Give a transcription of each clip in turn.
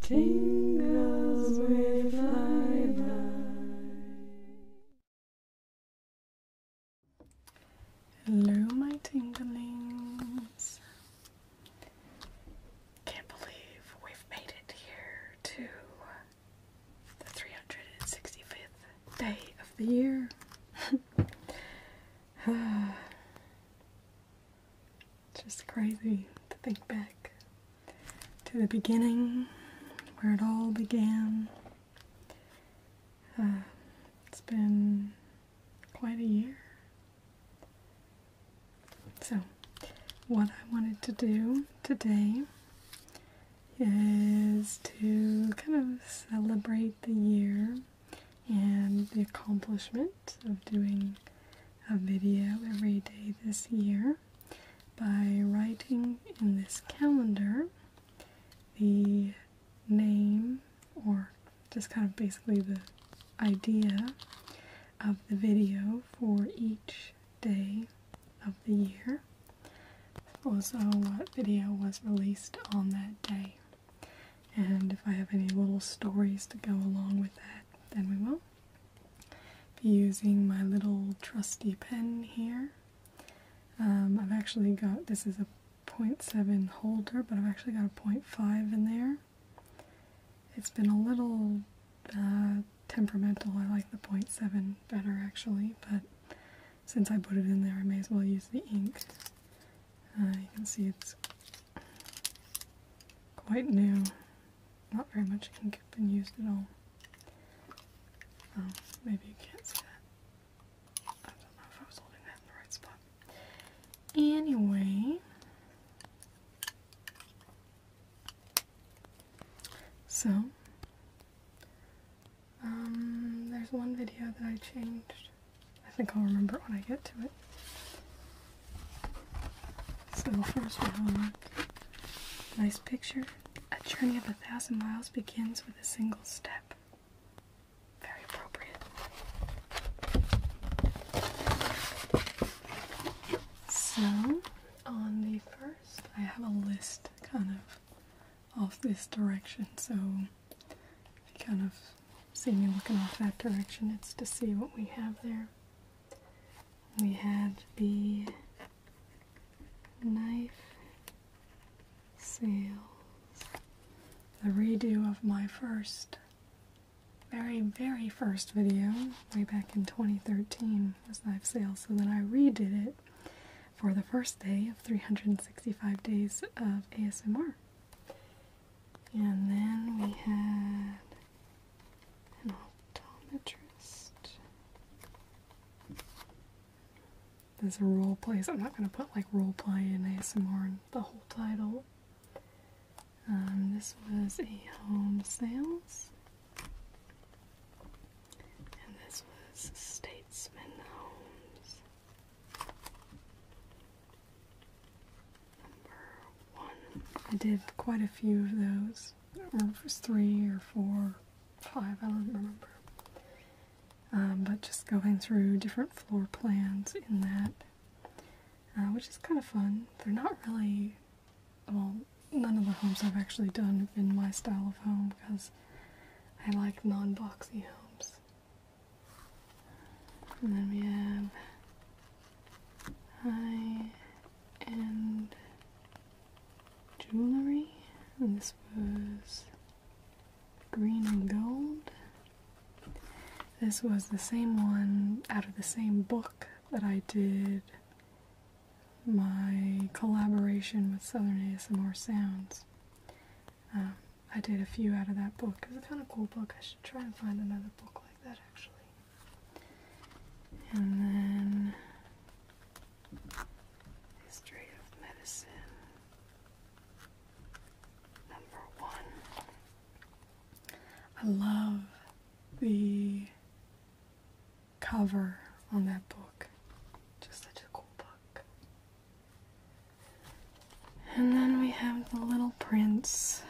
Tingles with lilac. Hello, my tinglings. Can't believe we've made it here to the 365th day of the year. It's just crazy to think back to the beginning where it all began. Uh, it's been quite a year. So, what I wanted to do today is to kind of celebrate the year and the accomplishment of doing a video every day this year by writing in this calendar the name or just kind of basically the idea of the video for each day of the year. Also, what video was released on that day. And if I have any little stories to go along with that, then we will. Be using my little trusty pen here. Um, I've actually got this is a 0.7 holder, but I've actually got a 0.5 in there. It's been a little uh, temperamental. I like the 0.7 better actually, but since I put it in there, I may as well use the ink. Uh, you can see it's quite new. Not very much ink been used at all. Oh, maybe you can't see that. I don't know if I was holding that in the right spot. Anyway, so um, there's one video that I changed. I think I'll remember when I get to it. So first, my homework. Nice picture. A journey of a thousand miles begins with a single step. Very appropriate. So, on the first, I have a list kind of off this direction. So, you kind of see me looking off that direction, it's to see what we have there we had the knife sales, the redo of my first, very, very first video way back in 2013 was knife sales. So then I redid it for the first day of 365 days of ASMR. And then we had an optometrist. There's a role play, I'm not going to put like role play in ASMR in the whole title. Um, this was a home sales, and this was Statesman Homes. I did quite a few of those. I don't remember if it was three or four, five, I don't remember. Um, but just going through different floor plans in that, uh, which is kind of fun. They're not really, well, none of the homes I've actually done have been my style of home because I like non-boxy homes. And then we have high end jewelry, and this was green and gold. This was the same one out of the same book that I did my collaboration with Southern ASMR Sounds. Um, I did a few out of that book. It's a kind of cool book. I should try and find another book like that actually. And then History of Medicine, number one. I love the cover on that book. Just such a cool book. And then we have The Little Prince.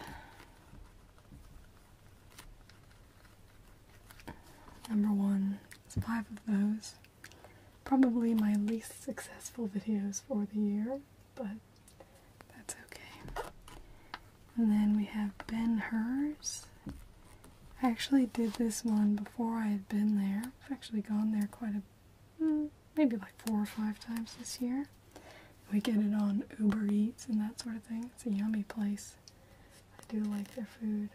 Number one is five of those. Probably my least successful videos for the year, but that's okay. And then we have Ben Hers. I actually did this one before I had been there. I've actually gone there quite a hmm, maybe like four or five times this year. We get it on Uber Eats and that sort of thing. It's a yummy place. I do like their food.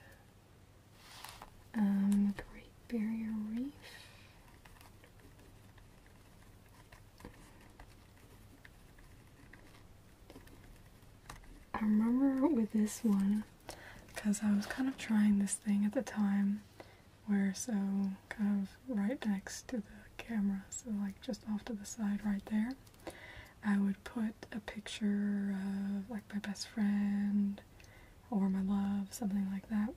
Um, Great Barrier Reef. I remember with this one, because I was kind of trying this thing at the time, where so kind of right next to the camera, so like just off to the side right there. I would put a picture of like my best friend or my love, something like that.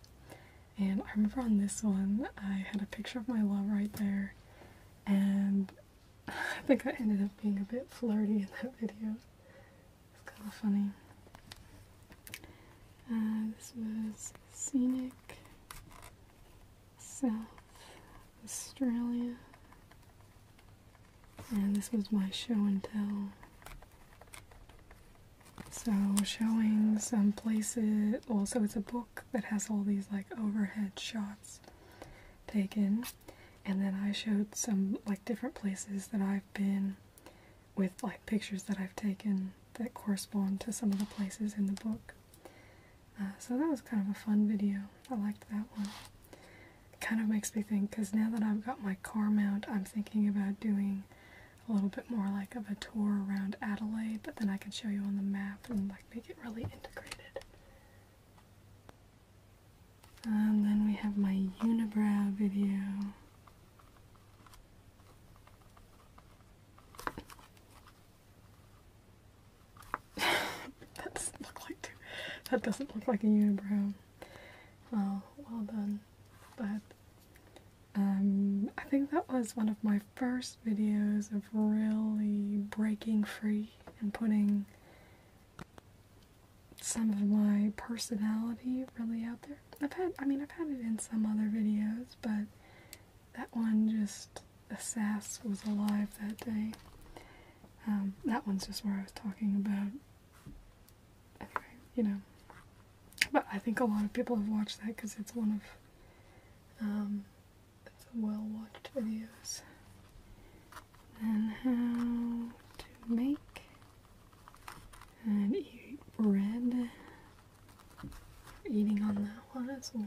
And I remember on this one, I had a picture of my love right there, and I think I ended up being a bit flirty in that video. It's kind of funny. Uh, this was scenic South Australia. And this was my show and tell. So showing some um, places, also it's a book that has all these like overhead shots taken. And then I showed some like different places that I've been with like pictures that I've taken that correspond to some of the places in the book. Uh, so that was kind of a fun video. I liked that one. It kind of makes me think because now that I've got my car mount, I'm thinking about doing a little bit more like of a tour around Adelaide, but then I can show you on the map and like make it really integrated. And then we have my unibrow video that doesn't look like that doesn't look like a unibrow. Well, well done. But um, I think that was one of my first videos of really breaking free and putting some of my personality really out there. I've had, I mean, I've had it in some other videos, but that one just Assass was alive that day. Um, that one's just where I was talking about. Anyway, you know. But I think a lot of people have watched that because it's one of um, well-watched videos. And how to make and eat bread. Eating on that one as well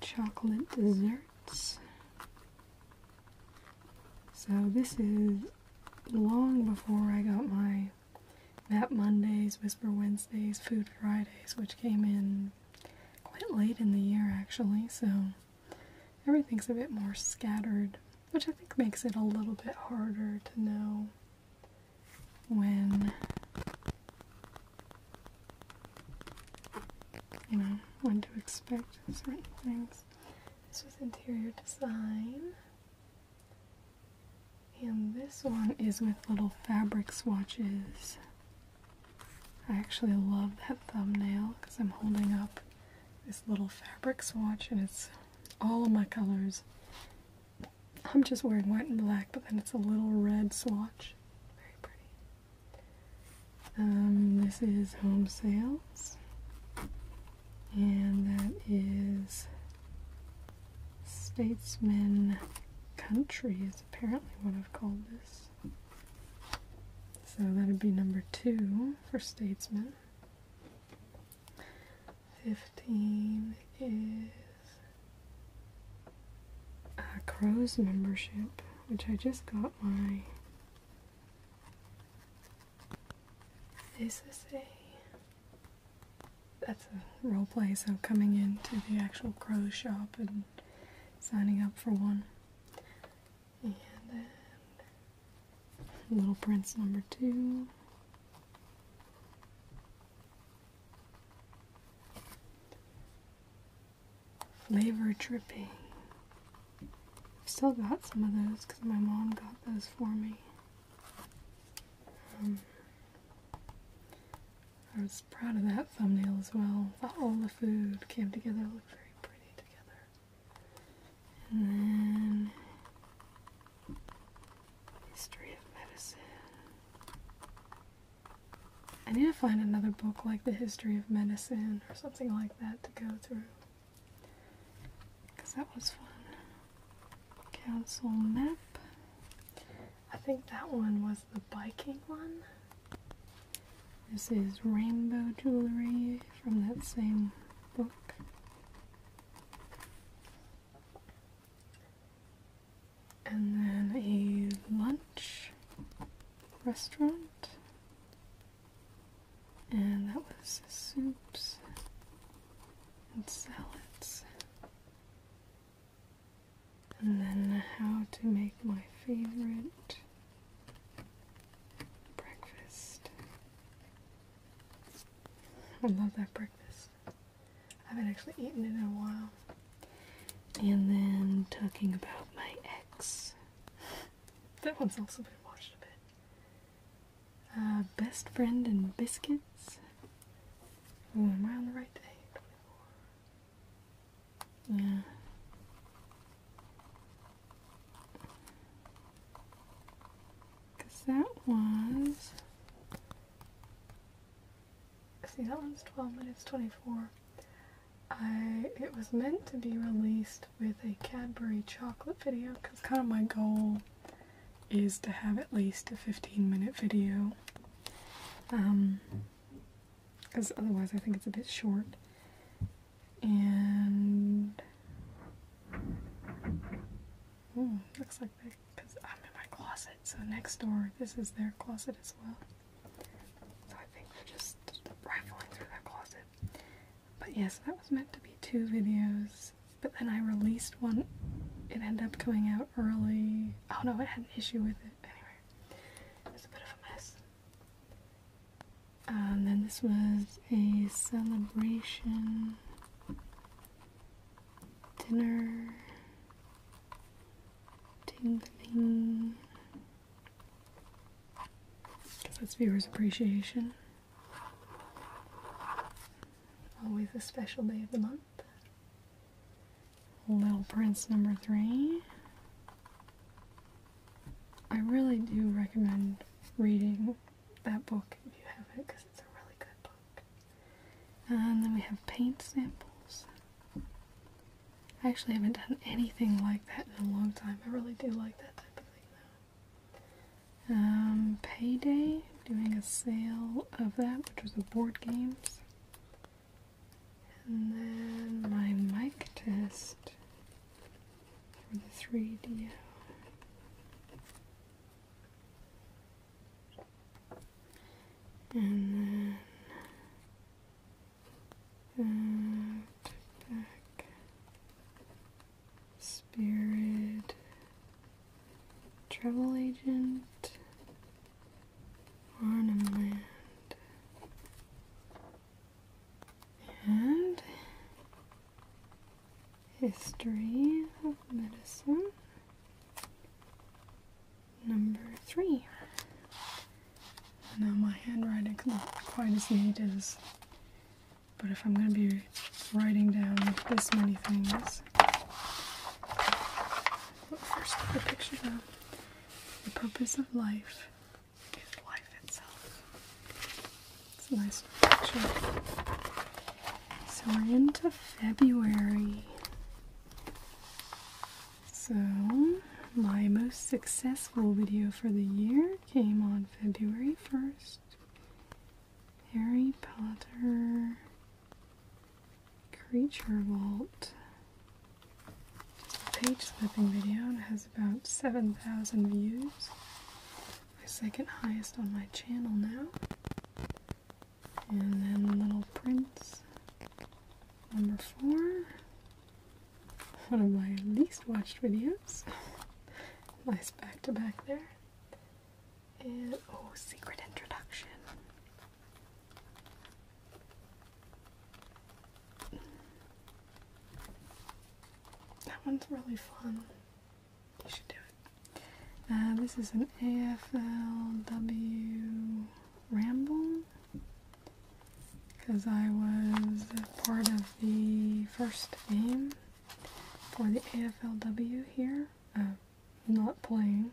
chocolate desserts. So this is long before I got my Map Mondays, Whisper Wednesdays, Food Fridays, which came in quite late in the year actually, so everything's a bit more scattered, which I think makes it a little bit harder to know when you know, when to expect certain things. This was interior design. And this one is with little fabric swatches. I actually love that thumbnail because I'm holding up this little fabric swatch and it's all of my colors. I'm just wearing white and black, but then it's a little red swatch. Very pretty. Um, this is home sales, and that is Statesman Country, is apparently what I've called this. So that'd be number two for Statesman. 15 is Crow's membership, which I just got my this is a that's a role play, so coming into the actual crow shop and signing up for one. And then Little Prince number two flavor dripping. I've still got some of those because my mom got those for me. Um, I was proud of that thumbnail as well. All the food came together, looked very pretty together. And then History of Medicine. I need to find another book like The History of Medicine or something like that to go through. Because that was fun. Council map. I think that one was the biking one. This is rainbow jewelry from that same book and then a lunch restaurant, and that was soups and salads, and then how to make my favorite breakfast. I love that breakfast. I haven't actually eaten it in a while. And then talking about my ex. that one's also been watched a bit. Uh, best friend and biscuits. Oh, am I on the right day? Yeah. Cause that was. See, that one's twelve minutes twenty-four. I it was meant to be released with a Cadbury chocolate video because kind of my goal is to have at least a 15 minute video. Um because otherwise I think it's a bit short. And looks like because I'm in my closet, so next door this is their closet as well. So I think they're just rifling through their closet. But yes, that was meant to be two videos, but then I released one. It ended up coming out early. Oh no, I had an issue with it. Anyway, it's a bit of a mess. Uh, and then this was a celebration dinner. Tingling. Because that's viewers' appreciation. Always a special day of the month. Little Prince number three. I really do recommend reading that book if you have it because it's a really good book. And then we have paint samples. I actually haven't done anything like that in a long time. I really do like that type of thing though. Um, Payday, doing a sale of that, which was the board games. And then my mic test for the 3 D, And then and back. Spirit. Travel agent. Arnhem And history of medicine. Number three. Now my handwriting isn't quite as neat as, but if I'm going to be writing down this many things, well, first the picture of The purpose of life is life itself. It's a nice picture. So we're into February. So, my most successful video for the year came on February 1st. Harry Potter Creature Vault. It's a page flipping video and has about 7,000 views. My second highest on my channel now. And then Little Prince, number four one of my least watched videos. nice back to back there. And oh, secret introduction. That one's really fun. You should do it. Uh, this is an AFLW ramble because I was part of the first game for the AFLW here. Uh, not playing,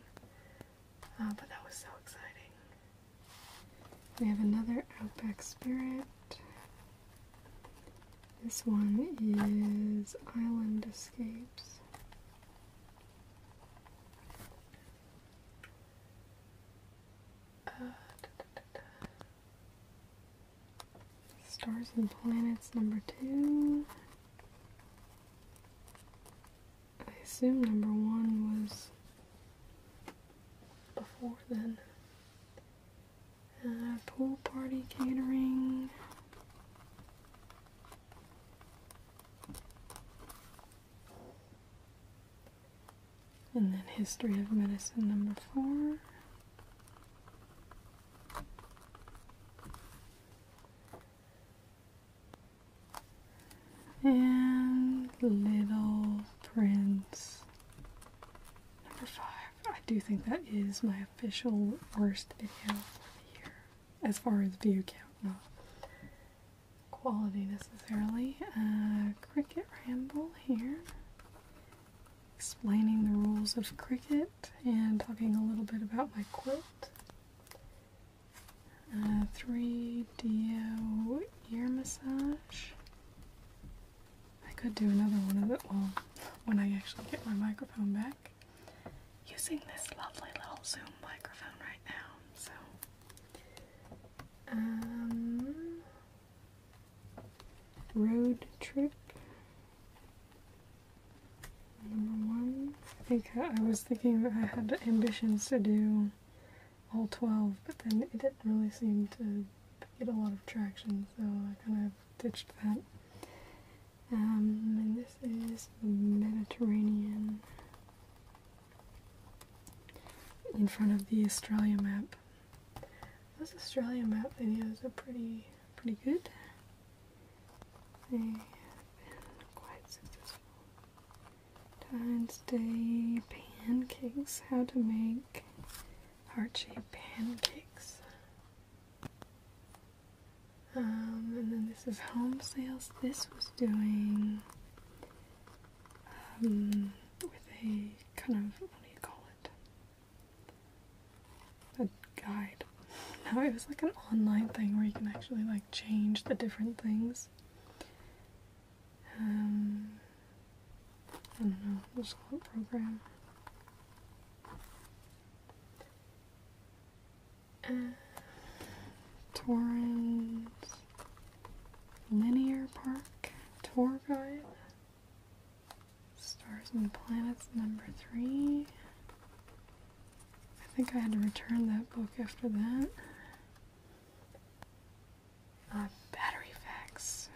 uh, but that was so exciting. We have another Outback Spirit. This one is Island Escapes. Stars and planets number two. I assume number one was before then. Uh, pool party catering. And then History of Medicine number four. And Little Prince number five. I do think that is my official worst video for as far as view count, not quality necessarily. Uh, cricket ramble here, explaining the rules of cricket and talking a little bit about my quilt. 3DO uh, ear massage. I could do another one of it, well, when I actually get my microphone back. Using this lovely little Zoom microphone right now, so. Um, Road Trip. Number one. I think I was thinking I had ambitions to do all 12, but then it didn't really seem to get a lot of traction, so I kind of ditched that. Um, and this is Mediterranean in front of the Australia map. Those Australia map videos are pretty pretty good. They have been quite successful. Valentine's Day pancakes. How to make heart-shaped pancakes. Um, and then this is home sales. This was doing um, with a kind of what do you call it? A guide. Now it was like an online thing where you can actually like change the different things. Um, I don't know, just call program. Uh, Torrens Linear Park Tour Guide. Stars and Planets, number three. I think I had to return that book after that. Uh, battery facts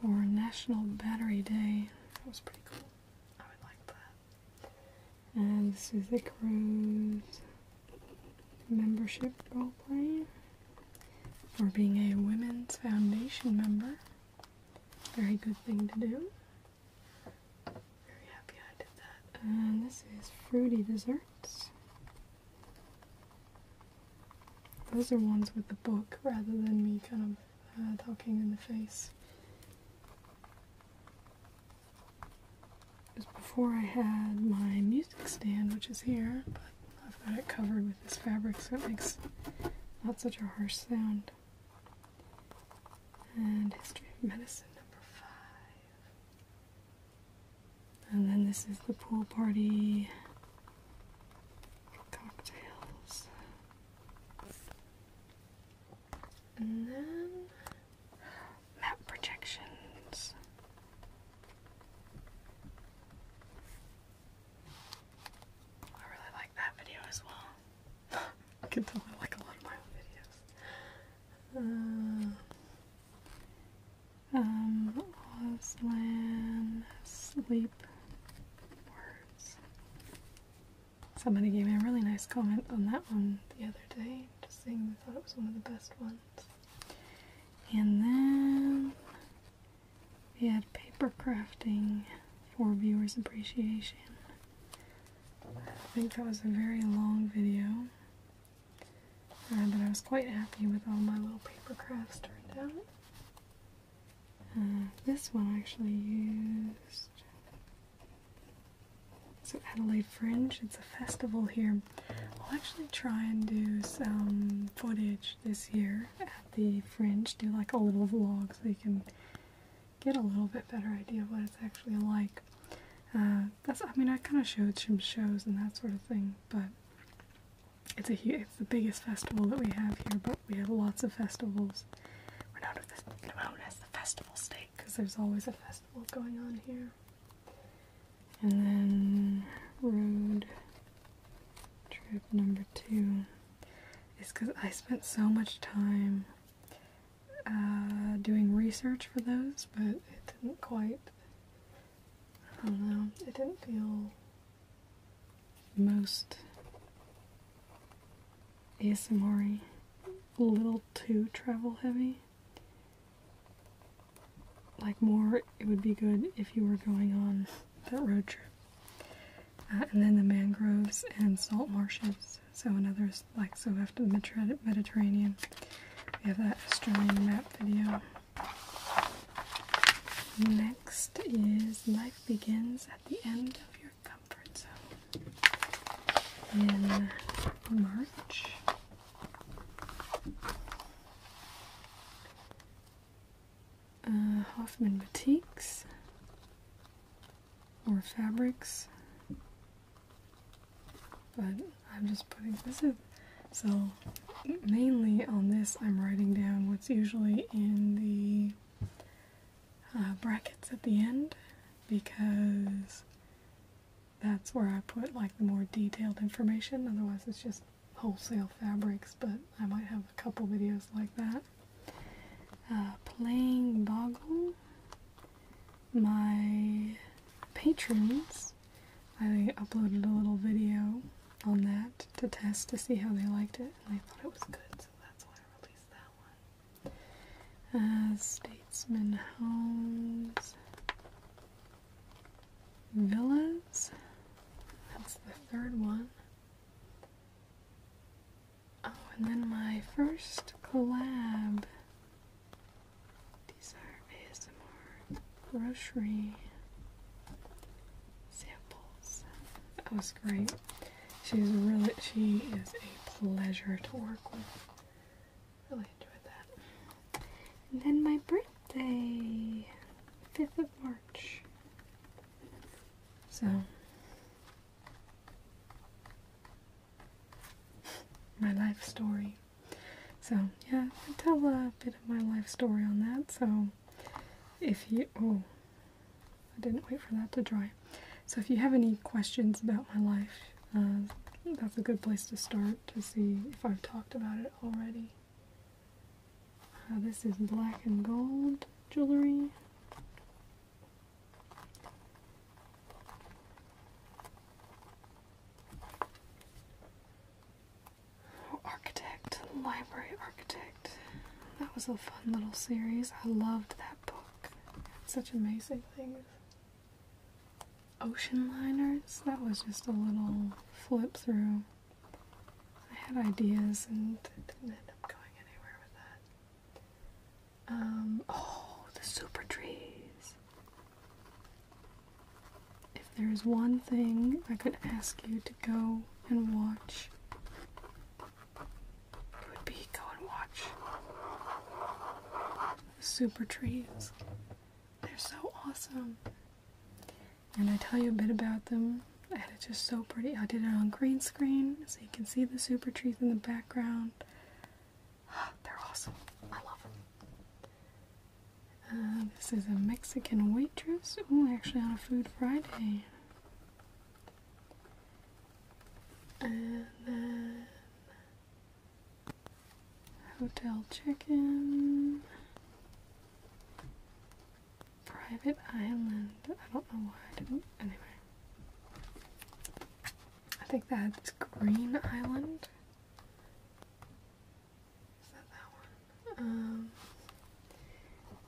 for National Battery Day. That was pretty cool. I would like that. And this is the cruise membership roleplay for being a Women's Foundation member. Very good thing to do. Very happy I did that. this is fruity desserts. Those are ones with the book rather than me kind of uh, talking in the face was before I had my music stand, which is here, but I've got it covered with this fabric so it makes not such a harsh sound. And History of Medicine number five. And then this is the pool party cocktails. And then map projections. I really like that video as well. I can tell I like a lot of my own videos. Uh, um, Auslan sleep words. Somebody gave me a really nice comment on that one the other day, just saying they thought it was one of the best ones. And then we had paper crafting for viewers' appreciation. I think that was a very long video, uh, but I was quite happy with all my little paper crafts turned out. Uh, this one I actually used. So Adelaide Fringe, it's a festival here um, I'll actually try and do some footage this year at the Fringe, do like a little vlog so you can get a little bit better idea of what it's actually like. Uh, that's I mean I kind of showed some shows and that sort of thing, but it's a huge, it's the biggest festival that we have here. But we have lots of festivals. We're known as the, known as the festival state because there's always a festival going on here. And then road trip number two is because I spent so much time uh, doing research for those, but it didn't quite, I don't know, it didn't feel most ASMR a little too travel heavy like more it would be good if you were going on that road trip uh, and then the mangroves and salt marshes so another like so after the mediterranean we have that australian map video next is life begins at the end of your comfort zone in march uh, Hoffman boutiques or fabrics, but I'm just putting this in. So, mainly on this, I'm writing down what's usually in the uh, brackets at the end because that's where I put like the more detailed information, otherwise, it's just wholesale fabrics, but I might have a couple videos like that. Uh, playing Boggle. My patrons, I uploaded a little video on that to test to see how they liked it, and they thought it was good, so that's why I released that one. Uh, Statesman Homes. Villas? That's the third one. Oh, and then my first collab. Desire ASMR grocery samples. That was great. She's really, she is a pleasure to work with. Really enjoyed that. And then my birthday, 5th of March. So, my life story. So, yeah, I tell a bit of my life story on that. So, if you, oh, I didn't wait for that to dry. So, if you have any questions about my life, uh, that's a good place to start to see if I've talked about it already. Uh, this is black and gold jewelry. architect, Library Architect. That was a fun little series. I loved that book. such amazing things. Ocean liners. That was just a little flip through. I had ideas and didn't end up going anywhere with that. Um, oh, the super trees. If there is one thing I could ask you to go and watch, it would be go and watch the super trees. They're so awesome. And I tell you a bit about them, I had it just so pretty. I did it on green screen, so you can see the super trees in the background. They're awesome. I love them. Uh, this is a Mexican waitress. Oh, actually on a Food Friday. And then hotel check-in. Private Island. I don't know why I didn't. Anyway. I think that's Green Island. Is that that one? Um,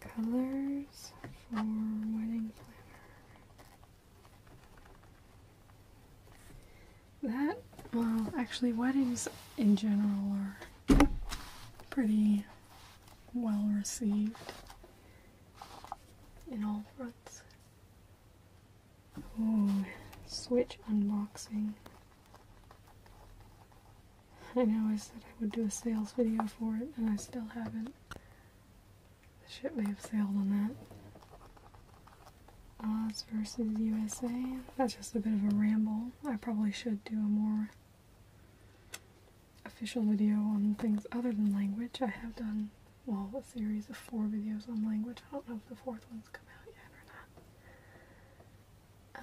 colors for wedding planner. That, well, actually, weddings in general are pretty well received in all fronts. Ooh, Switch unboxing. I know I said I would do a sales video for it, and I still haven't. The ship may have sailed on that. Oz versus USA. That's just a bit of a ramble. I probably should do a more official video on things other than language. I have done, well, a series of four videos on language. I don't know if the fourth one's come out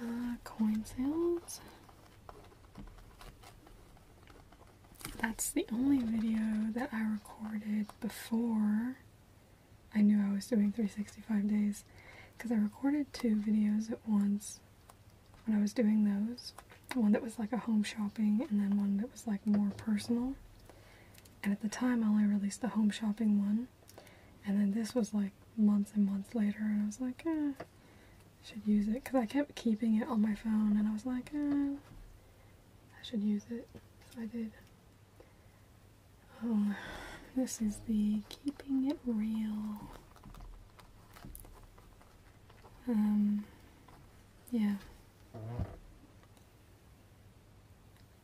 yet or not. Uh, coin sales. That's the only video that I recorded before I knew I was doing 365 days because I recorded two videos at once when I was doing those. One that was like a home shopping, and then one that was like more personal. And at the time, I only released the home shopping one. And then this was like months and months later, and I was like, eh, should use it. Because I kept keeping it on my phone, and I was like, eh, I should use it. So I did. Oh, this is the Keeping It Real um, yeah.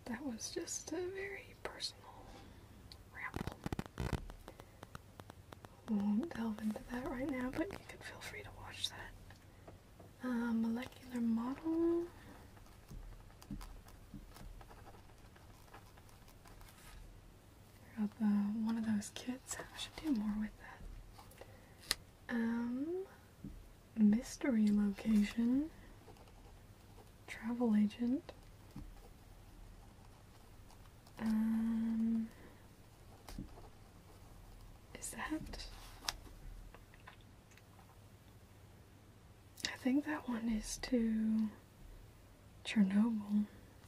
That was just a very personal ramble. We won't delve into that right now, but you can feel free to watch that. Uh, molecular model. Uh, one of those kits. I should do more with that. Um, mystery location. Travel agent. Um, is that? I think that one is to. Chernobyl.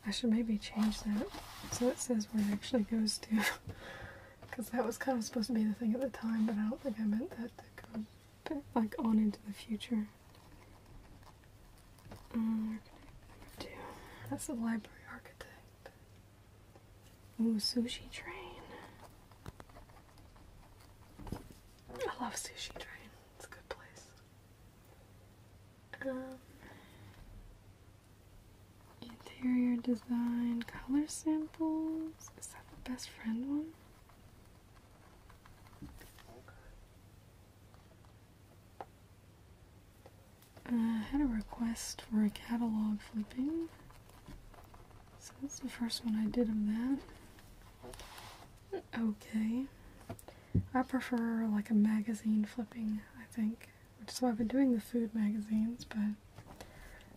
I should maybe change that so it says where it actually goes to. Because that was kind of supposed to be the thing at the time, but I don't think I meant that to go like on into the future. two. Uh, that's a library architect. Ooh, sushi train. I love sushi train. It's a good place. Um, interior design color samples. Is that the best friend one? I uh, had a request for a catalog flipping. So that's the first one I did of that. Okay. I prefer like a magazine flipping, I think, which is why I've been doing the food magazines, but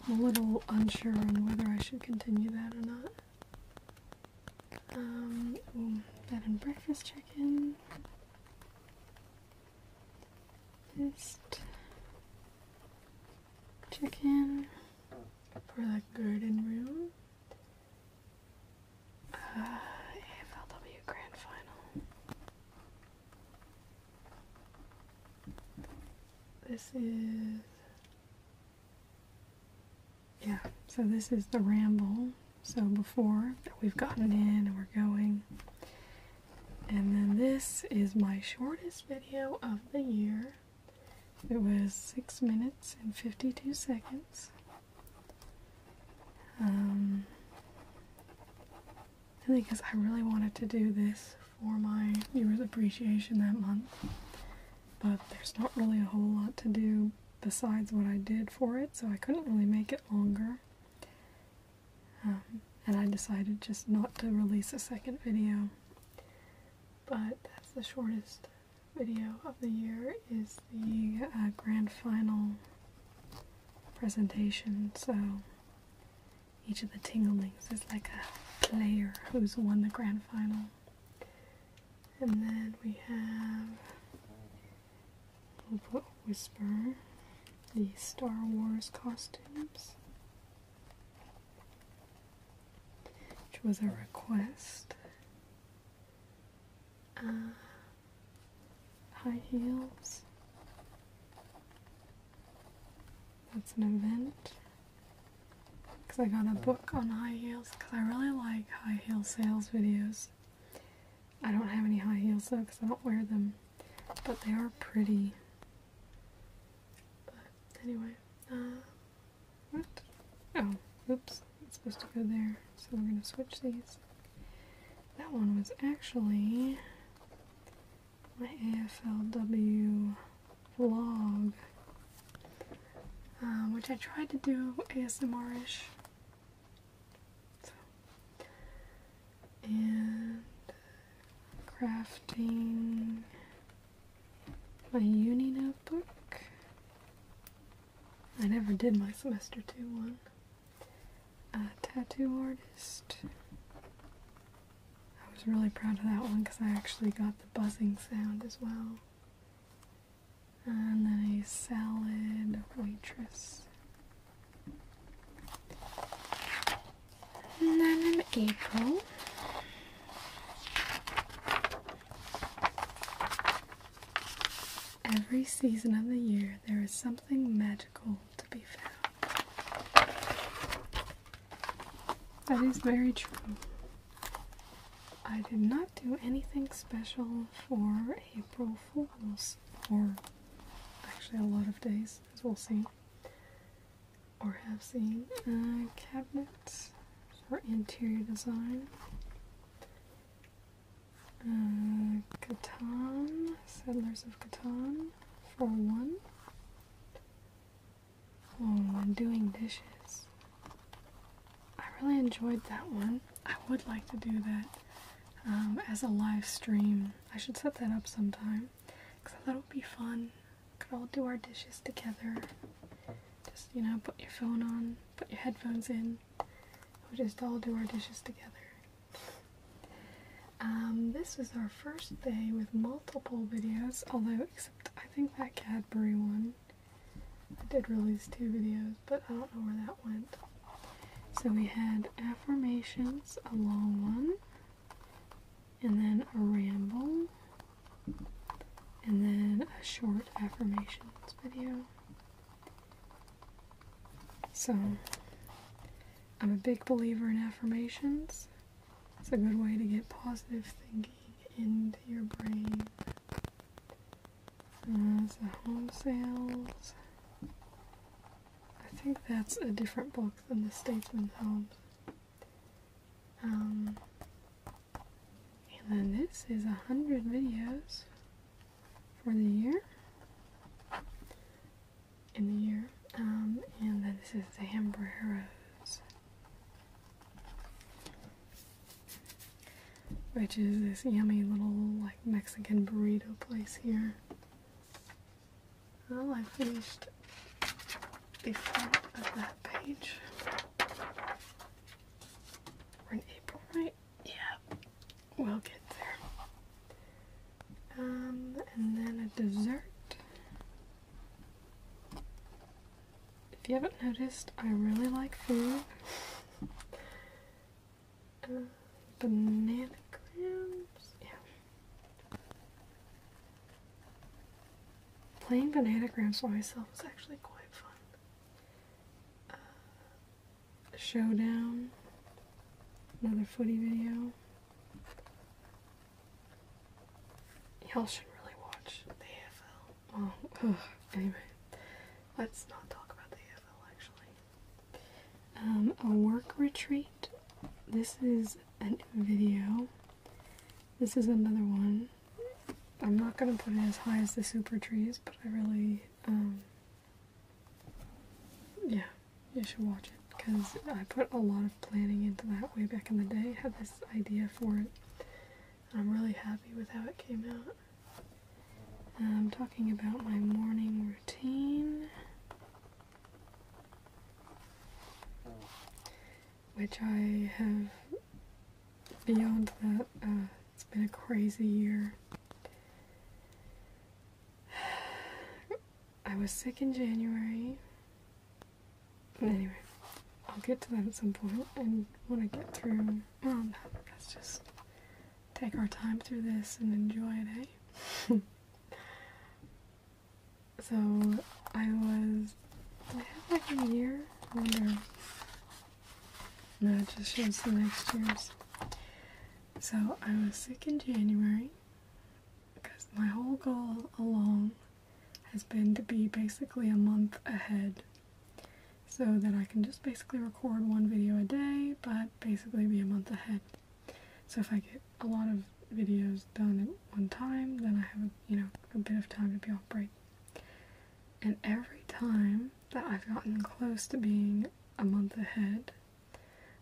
I'm a little unsure on whether I should continue that or not. Um, bed and breakfast chicken, Just check for the garden room. AFLW Grand Final. This is. Yeah, so this is the ramble. So before we've gotten in and we're going. And then this is my shortest video of the year. It was 6 minutes and 52 seconds. Um, and because I really wanted to do this for my viewers' appreciation that month, but there's not really a whole lot to do besides what I did for it, so I couldn't really make it longer. Um, and I decided just not to release a second video. But that's the shortest video of the year is the uh, grand final presentation. So each of the Tinglings is like a player who's won the grand final. And then we have Whisper, the Star Wars costumes, which was a request. Uh, high heels. That's an event. Because I got a book on high heels because I really like high heel sales videos. I don't have any high heels though because I don't wear them. But they are pretty. But anyway, uh, what? Oh, oops. It's supposed to go there. So we're going to switch these. That one was actually my AFLW vlog, um, which I tried to do ASMR ish. And uh, crafting my uni notebook. I never did my semester two one. A tattoo artist. I was really proud of that one because I actually got the buzzing sound as well. And then a salad waitress. And then in April. Every season of the year, there is something magical to be found. That is very true. I did not do anything special for April Fools, or actually a lot of days, as we'll see, or have seen. Uh, cabinets or interior design. Uh, Settlers of Catan, for one. Oh, and doing dishes. I really enjoyed that one. I would like to do that um, as a live stream. I should set that up sometime because I thought it would be fun. could all do our dishes together. Just, you know, put your phone on, put your headphones in. We'll just all do our dishes together. Um, this is our first day with multiple videos, although except I think that Cadbury one. I did release two videos, but I don't know where that went. So we had affirmations, a long one, and then a ramble, and then a short affirmations video. So, I'm a big believer in affirmations. It's a good way to get positive thinking into your brain. As it's the home sales. I think that's a different book than the Statesman's home. Um, and then this is a hundred videos for the year in the year um, and then this is the Hambreros which is this yummy little like Mexican burrito place here well I finished the front of that page we're in April right yeah, we'll get there. Um, and then a dessert. If you haven't noticed, I really like food. Uh, banana grams? Yeah. Playing banana grams for myself is actually quite fun. Uh, showdown. Another footy video. Y'all should really watch the AFL. Oh, anyway, let's not talk about the AFL actually. Um, a work retreat. This is a video. This is another one. I'm not gonna put it as high as the super trees, but I really um, yeah, you should watch it because I put a lot of planning into that way back in the day. I had this idea for it. And I'm really happy with how it came out. I'm talking about my morning routine. Which I have, beyond that, uh, it's been a crazy year. I was sick in January. Anyway, I'll get to that at some point, and when I get through, well, let's just take our time through this and enjoy it, eh? so, I was. I have like a year? wonder. No, it just shows the next year's. So I was sick in January because my whole goal along has been to be basically a month ahead so that I can just basically record one video a day but basically be a month ahead. So if I get a lot of videos done at one time then I have you know a bit of time to be off break. And every time that I've gotten close to being a month ahead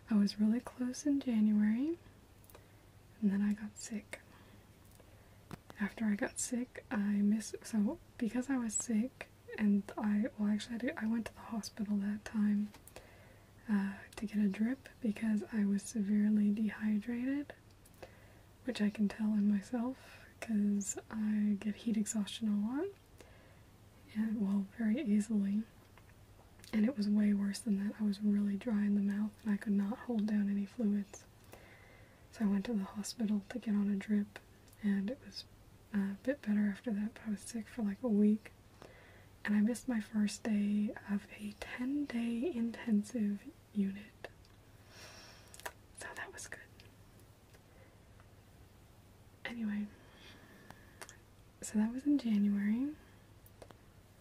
I was really close in January and then I got sick. After I got sick, I miss so because I was sick and I well actually I, did, I went to the hospital that time uh, to get a drip because I was severely dehydrated, which I can tell in myself because I get heat exhaustion a lot them. And, well, very easily. And it was way worse than that. I was really dry in the mouth and I could not hold down any fluids. So I went to the hospital to get on a drip, and it was uh, a bit better after that, but I was sick for like a week. And I missed my first day of a 10 day intensive unit. So that was good. Anyway, so that was in January.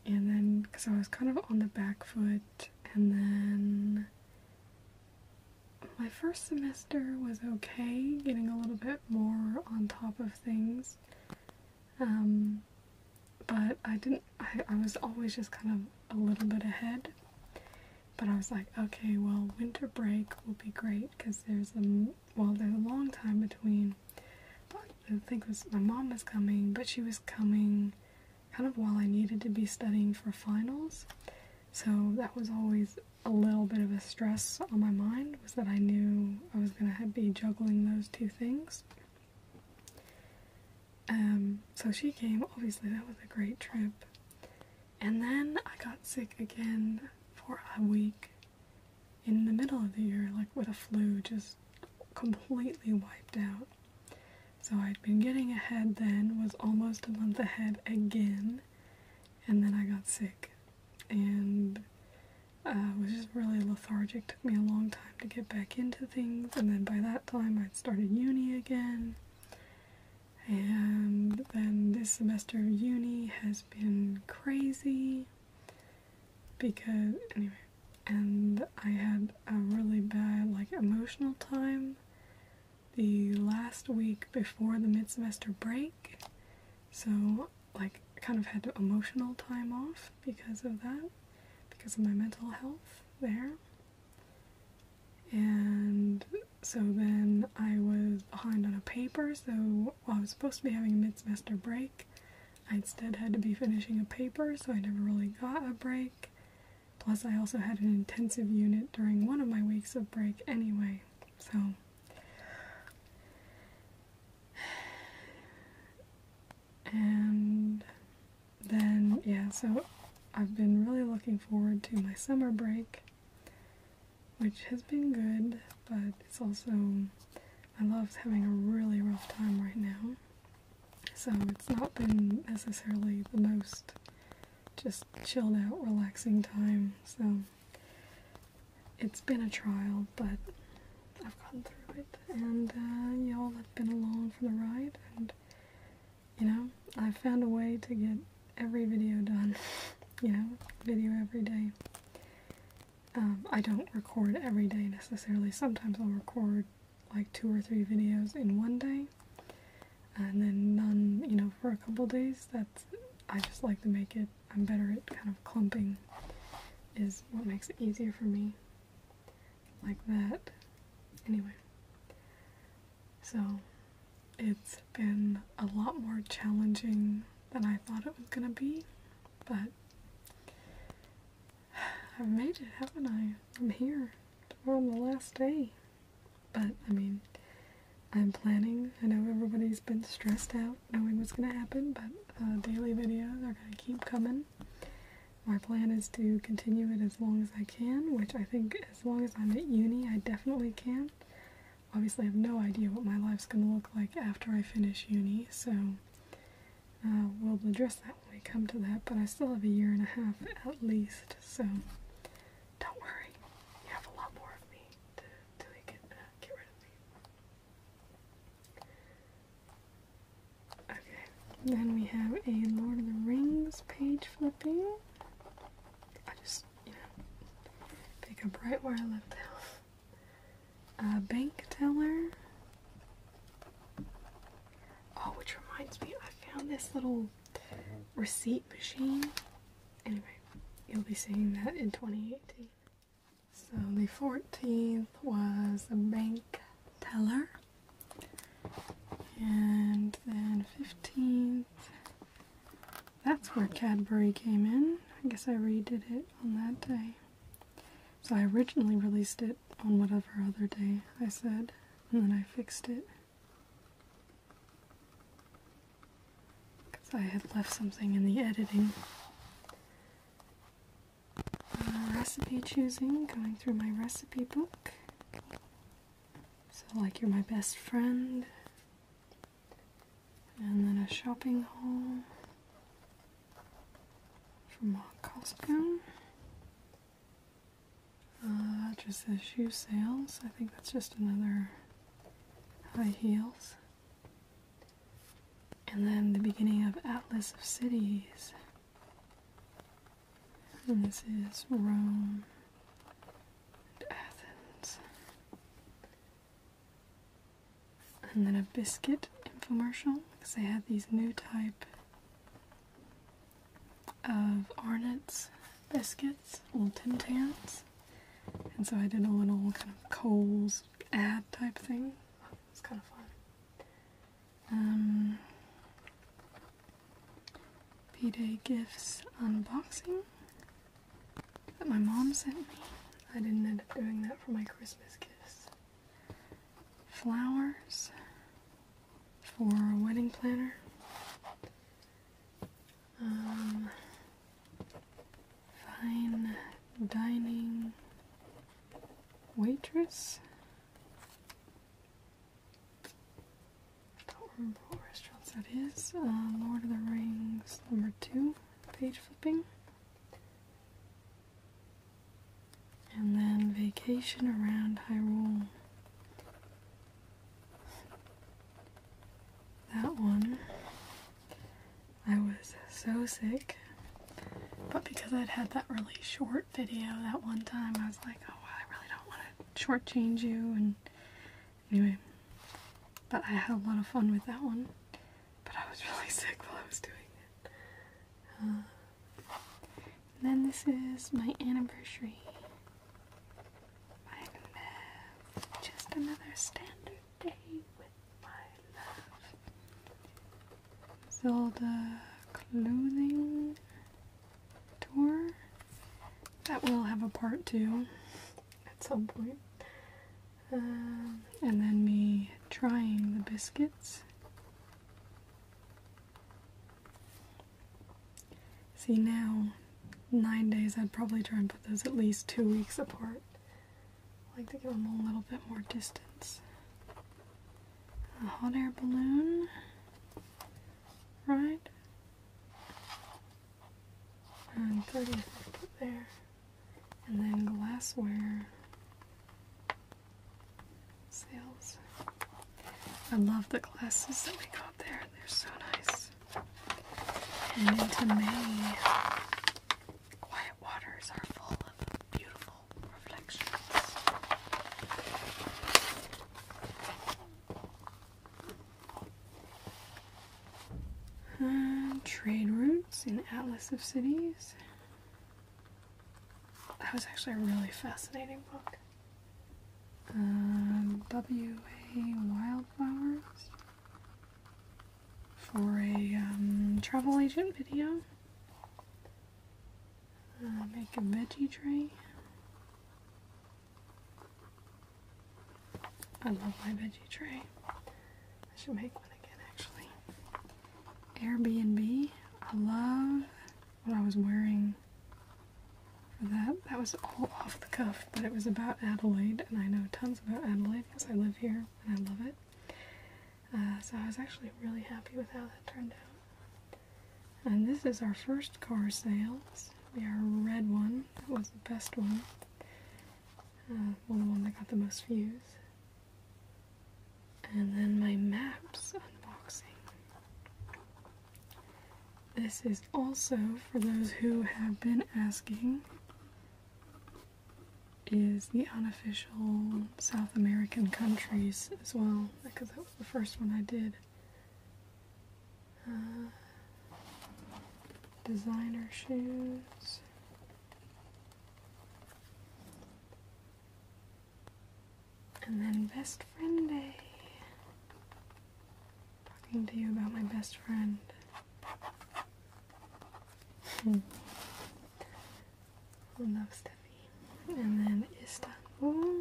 And then, because I was kind of on the back foot, and then my first semester was okay, getting a little bit more on top of things. Um, but I didn't, I, I was always just kind of a little bit ahead. But I was like, okay, well, winter break will be great because there's a well, there's a long time between. I think was my mom was coming, but she was coming kind of while I needed to be studying for finals. So that was always a little bit of a stress on my mind was that I knew I was going to be juggling those two things. Um, so she came, obviously that was a great trip. And then I got sick again for a week in the middle of the year, like with a flu, just completely wiped out. So I'd been getting ahead then, was almost a month ahead again, and then I got sick. And uh, I was just really lethargic. Took me a long time to get back into things, and then by that time I'd started uni again. And then this semester of uni has been crazy because anyway and I had a really bad like emotional time the last week before the mid-semester break so like kind of had emotional time off because of that because of my mental health there and so then I was behind on a paper so well, I was supposed to be having a mid semester break. I instead had to be finishing a paper, so I never really got a break. Plus, I also had an intensive unit during one of my weeks of break anyway, so. And then, yeah, so I've been really looking forward to my summer break, which has been good, but it's also I love having a really rough time right now. So it's not been necessarily the most just chilled out, relaxing time. So it's been a trial, but I've gone through it. And uh, y'all have been along for the ride. And, you know, I've found a way to get every video done. you know, video every day. Um, I don't record every day necessarily. Sometimes I'll record like two or three videos in one day, and then none, you know, for a couple days. That's I just like to make it. I'm better at kind of clumping, is what makes it easier for me. Like that. Anyway, so it's been a lot more challenging than I thought it was gonna be, but I made it, haven't I? I'm here. We're on the last day. But, I mean, I'm planning. I know everybody's been stressed out knowing what's going to happen, but daily videos are going to keep coming. My plan is to continue it as long as I can, which I think as long as I'm at uni, I definitely can. Obviously, I have no idea what my life's going to look like after I finish uni, so uh, we'll address that when we come to that, but I still have a year and a half at least, so don't worry. You have a lot more of me to, to get, uh, get rid of me. Okay, then we have a Lord of the Rings page flipping. I just, you know, pick up right where I left off a bank teller. Oh, which reminds me, I found this little receipt machine. Anyway, you'll be seeing that in 2018. So the 14th was a bank teller. And then 15th, that's where Cadbury came in. I guess I redid it on that day. So I originally released it on whatever other day I said, and then I fixed it. Because I had left something in the editing. Uh, recipe choosing, going through my recipe book. So, like, you're my best friend. And then a shopping haul from Costco. Uh, just says shoe sales. I think that's just another high heels. And then the beginning of Atlas of Cities. And this is Rome and Athens and then a biscuit infomercial because they had these new type of Arnott's biscuits, little Tim Tams. And so I did a little kind of Coles ad type thing. It's kind of fun. Um, P-Day Gifts unboxing that my mom sent me. I didn't end up doing that for my Christmas gifts flowers for a wedding planner. Um, fine dining waitress. I don't remember what restaurant that is. Uh, Lord of the Rings, number two, page flipping. And then vacation around Hyrule. That one, I was so sick, but because I'd had that really short video that one time, I was like, oh, I really don't want to shortchange you. And anyway, but I had a lot of fun with that one but I was really sick while I was doing it. and then this is my anniversary. My love, just another standard day with my love. So the clothing tour. That will have a part two at some point. Um, and then me trying the biscuits. See now, nine days, I'd probably try and put those at least two weeks apart. I like to give them a little bit more distance. A hot air balloon, right? And 30 I put there and then glassware sales. I love the glasses that we got there, they're so nice. And into May, quiet waters are full of beautiful reflections. Hmm, trade routes in Atlas of Cities. That was actually a really fascinating book. Um, W.A. Wildflowers for a um, travel agent video. Uh, make a veggie tray. I love my veggie tray. I should make one again actually. Airbnb. I love what I was wearing for that. That was all off the cuff, but it was about Adelaide, and I know tons about Adelaide because I live here and I love it. Uh, so I was actually really happy with how that turned out. And this is our first car sales. We are red one. It was the best one. One uh, well, the one that got the most views. And then my maps unboxing. This is also for those who have been asking is the unofficial South American countries as well, because that was the first one I did. Uh, designer shoes. And then best friend day. Talking to you about my best friend. Hmm. Love Steffi. And then Istanbul.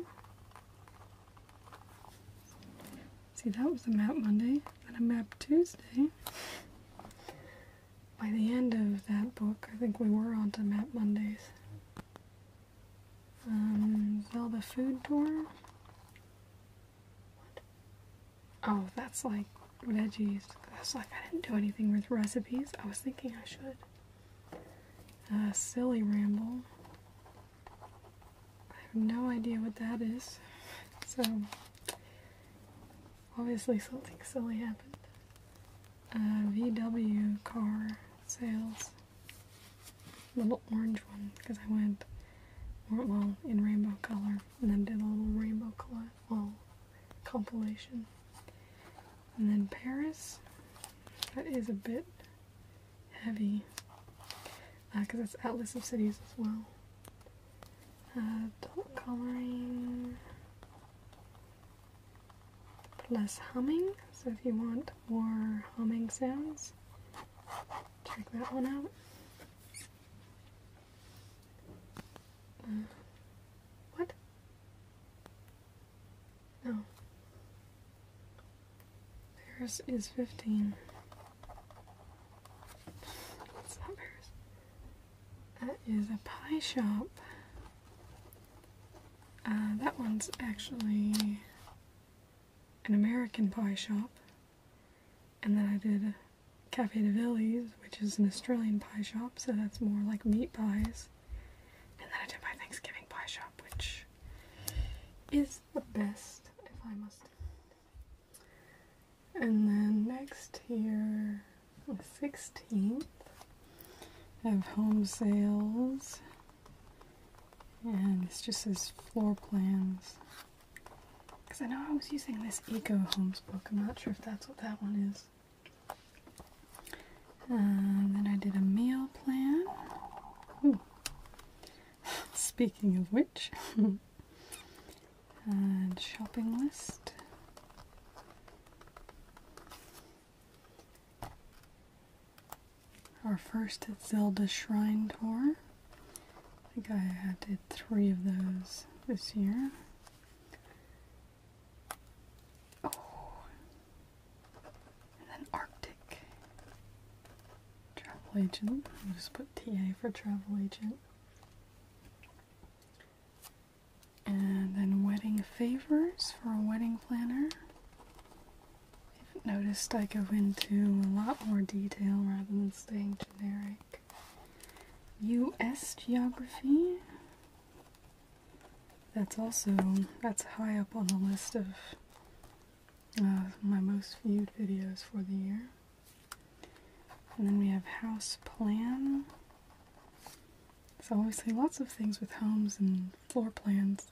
See, that was a map Monday, then a map Tuesday by the end of that book, I think we were onto Map Mondays. Zelda um, Food Tour. Oh, that's like veggies. That's like I didn't do anything with recipes. I was thinking I should. Uh, Silly Ramble. I have no idea what that is. So, Obviously, something silly happened. Uh, VW car sales. Little orange one because I went well in rainbow color and then did a little rainbow color well compilation. And then Paris. That is a bit heavy because uh, it's Atlas of Cities as well. Uh, Dot coloring. Less humming, so if you want more humming sounds, check that one out. Uh, what? No. Theirs is 15. It's not theirs. That is a pie shop. Uh, that one's actually an American pie shop. And then I did Cafe de Villiers, which is an Australian pie shop, so that's more like meat pies. And then I did my Thanksgiving pie shop, which is the best, if I must. And then next here the 16th of home sales and this just says floor plans because I know I was using this Eco Homes book I'm not sure if that's what that one is and then I did a meal plan speaking of which and shopping list our first Zelda Shrine Tour. I think I did three of those this year. Oh, and then Arctic. Travel Agent. just put TA for Travel Agent. And then wedding favors for a wedding planner. I've noticed I go into a lot more detail rather than staying generic. U.S. geography. That's also that's high up on the list of my most viewed videos for the year. And then we have house plan. So obviously lots of things with homes and floor plans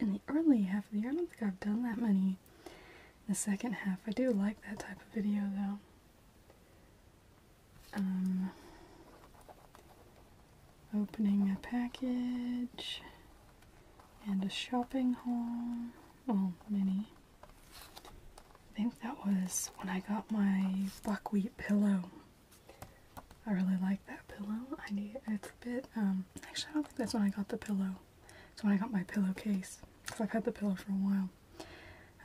in the early half of the year. I don't think I've done that many in the second half. I do like that type of video though. Um, opening a package and a shopping haul. Well, mini. I think that was when I got my buckwheat pillow I really like that pillow. I need it's a bit um, actually I don't think that's when I got the pillow. It's when I got my pillowcase. Because I've had the pillow for a while.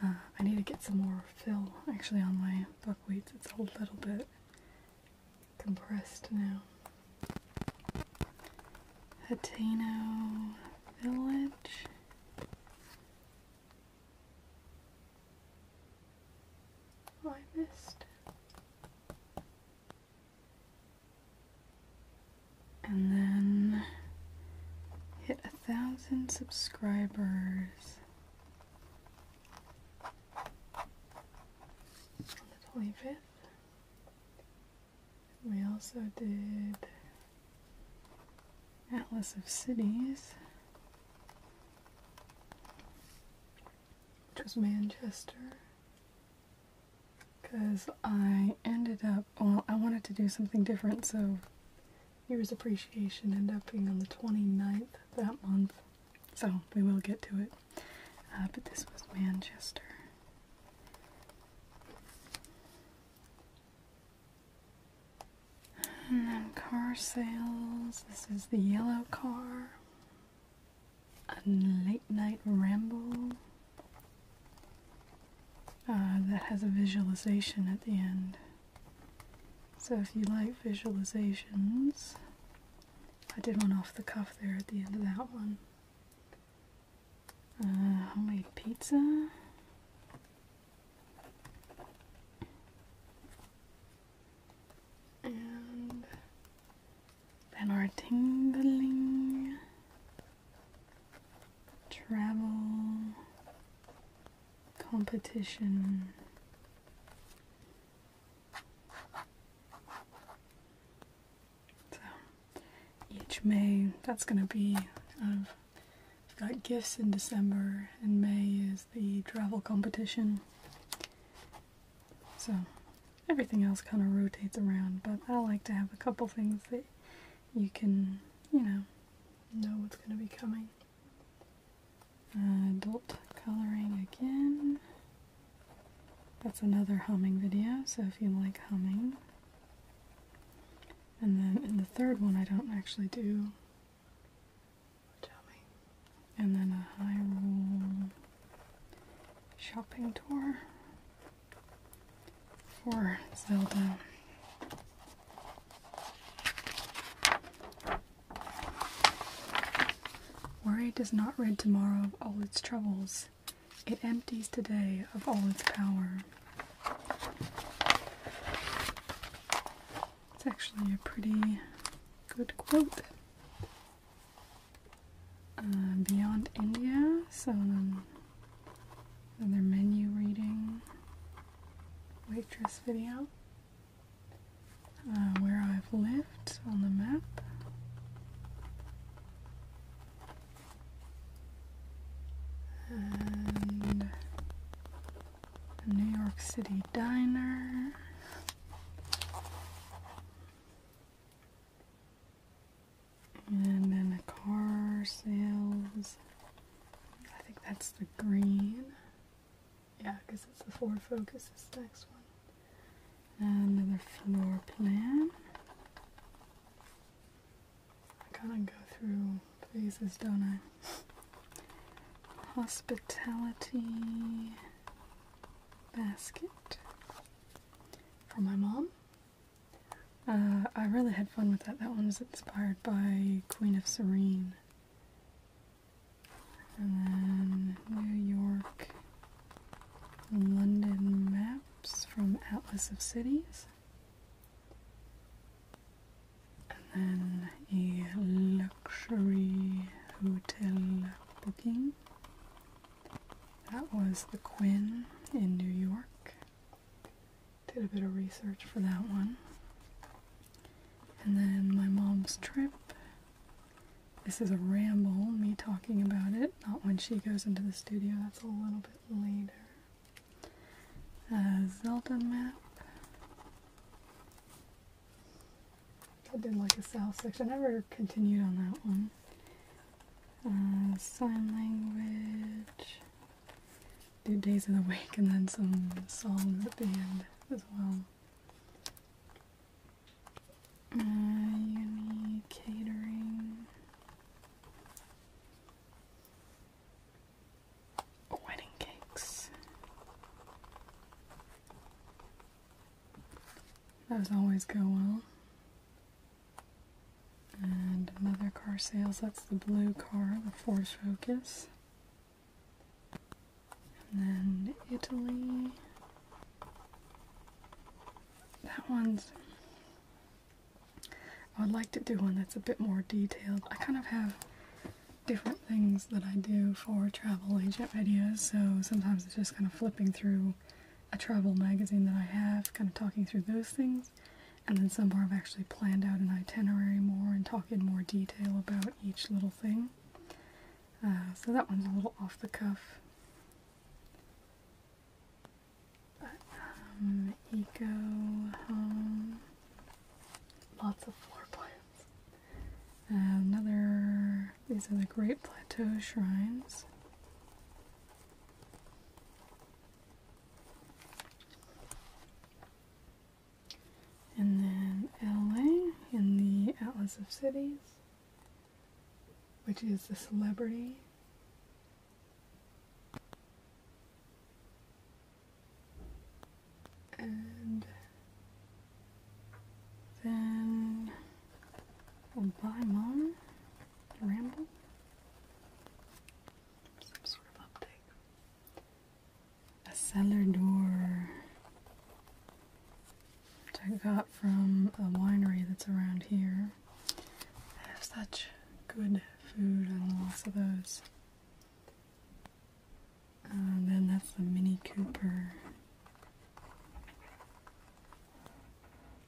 Uh, I need to get some more fill actually on my buckwheat, It's a little bit compressed now. Hateno Village. Oh, I missed. And then hit a thousand subscribers. On the 25th. We also did Atlas of Cities which was Manchester. Because I ended up, well, I wanted to do something different, so Year's Appreciation ended up being on the 29th that month. So we will get to it. Uh, but this was Manchester. And then car sales. This is the yellow car. A late night ramble uh, that has a visualization at the end. So if you like visualizations, I did one off the cuff there at the end of that one. Uh, homemade pizza and then our tingling travel competition so each May that's gonna be I've got gifts in December and May is the travel competition so everything else kind of rotates around, but I like to have a couple things that you can, you know, know what's going to be coming. Uh, adult coloring again. That's another humming video, so if you like humming. And then in the third one, I don't actually do and then a high roll shopping tour for Zelda. Worry does not rid tomorrow of all its troubles. It empties today of all its power. It's actually a pretty good quote. Uh, Beyond India, so then um, another menu reading, waitress video, uh, where I've lived on the map. And New York City Diner. And then the car sales. I think that's the green. Yeah, because it's the Ford Focus is the next one. another floor plan. I kind of go through phases, don't I? Hospitality basket for my mom. Uh, I really had fun with that. That one was inspired by Queen of Serene. And then New York, London maps from Atlas of Cities. And then a Le luxury hotel booking. That was the Quinn in New York. Did a bit of research for that one. And then my mom's trip. This is a ramble, me talking about it. Not when she goes into the studio, that's a little bit later. Uh, Zelda map. I did like a south section. I never continued on that one. Uh, sign language. Do days of the week and then some song at the end as well. Uh, catering. Wedding cakes. Those always go well. And another car sales, that's the blue car, the Ford Focus. And then Italy. That one's, I would like to do one that's a bit more detailed. I kind of have different things that I do for travel agent videos, so sometimes it's just kind of flipping through a travel magazine that I have, kind of talking through those things, and then somewhere I've actually planned out an itinerary more and talk in more detail about each little thing. Uh, so that one's a little off the cuff. Um, eco home, lots of floor plans another, these are the Great Plateau Shrines. And then LA in the Atlas of Cities, which is the celebrity and then we'll buy mom ramble. Some sort of uptake. A cellar door. Which I got from a winery that's around here. They have such good food and lots of those. And uh, then that's the Mini Cooper.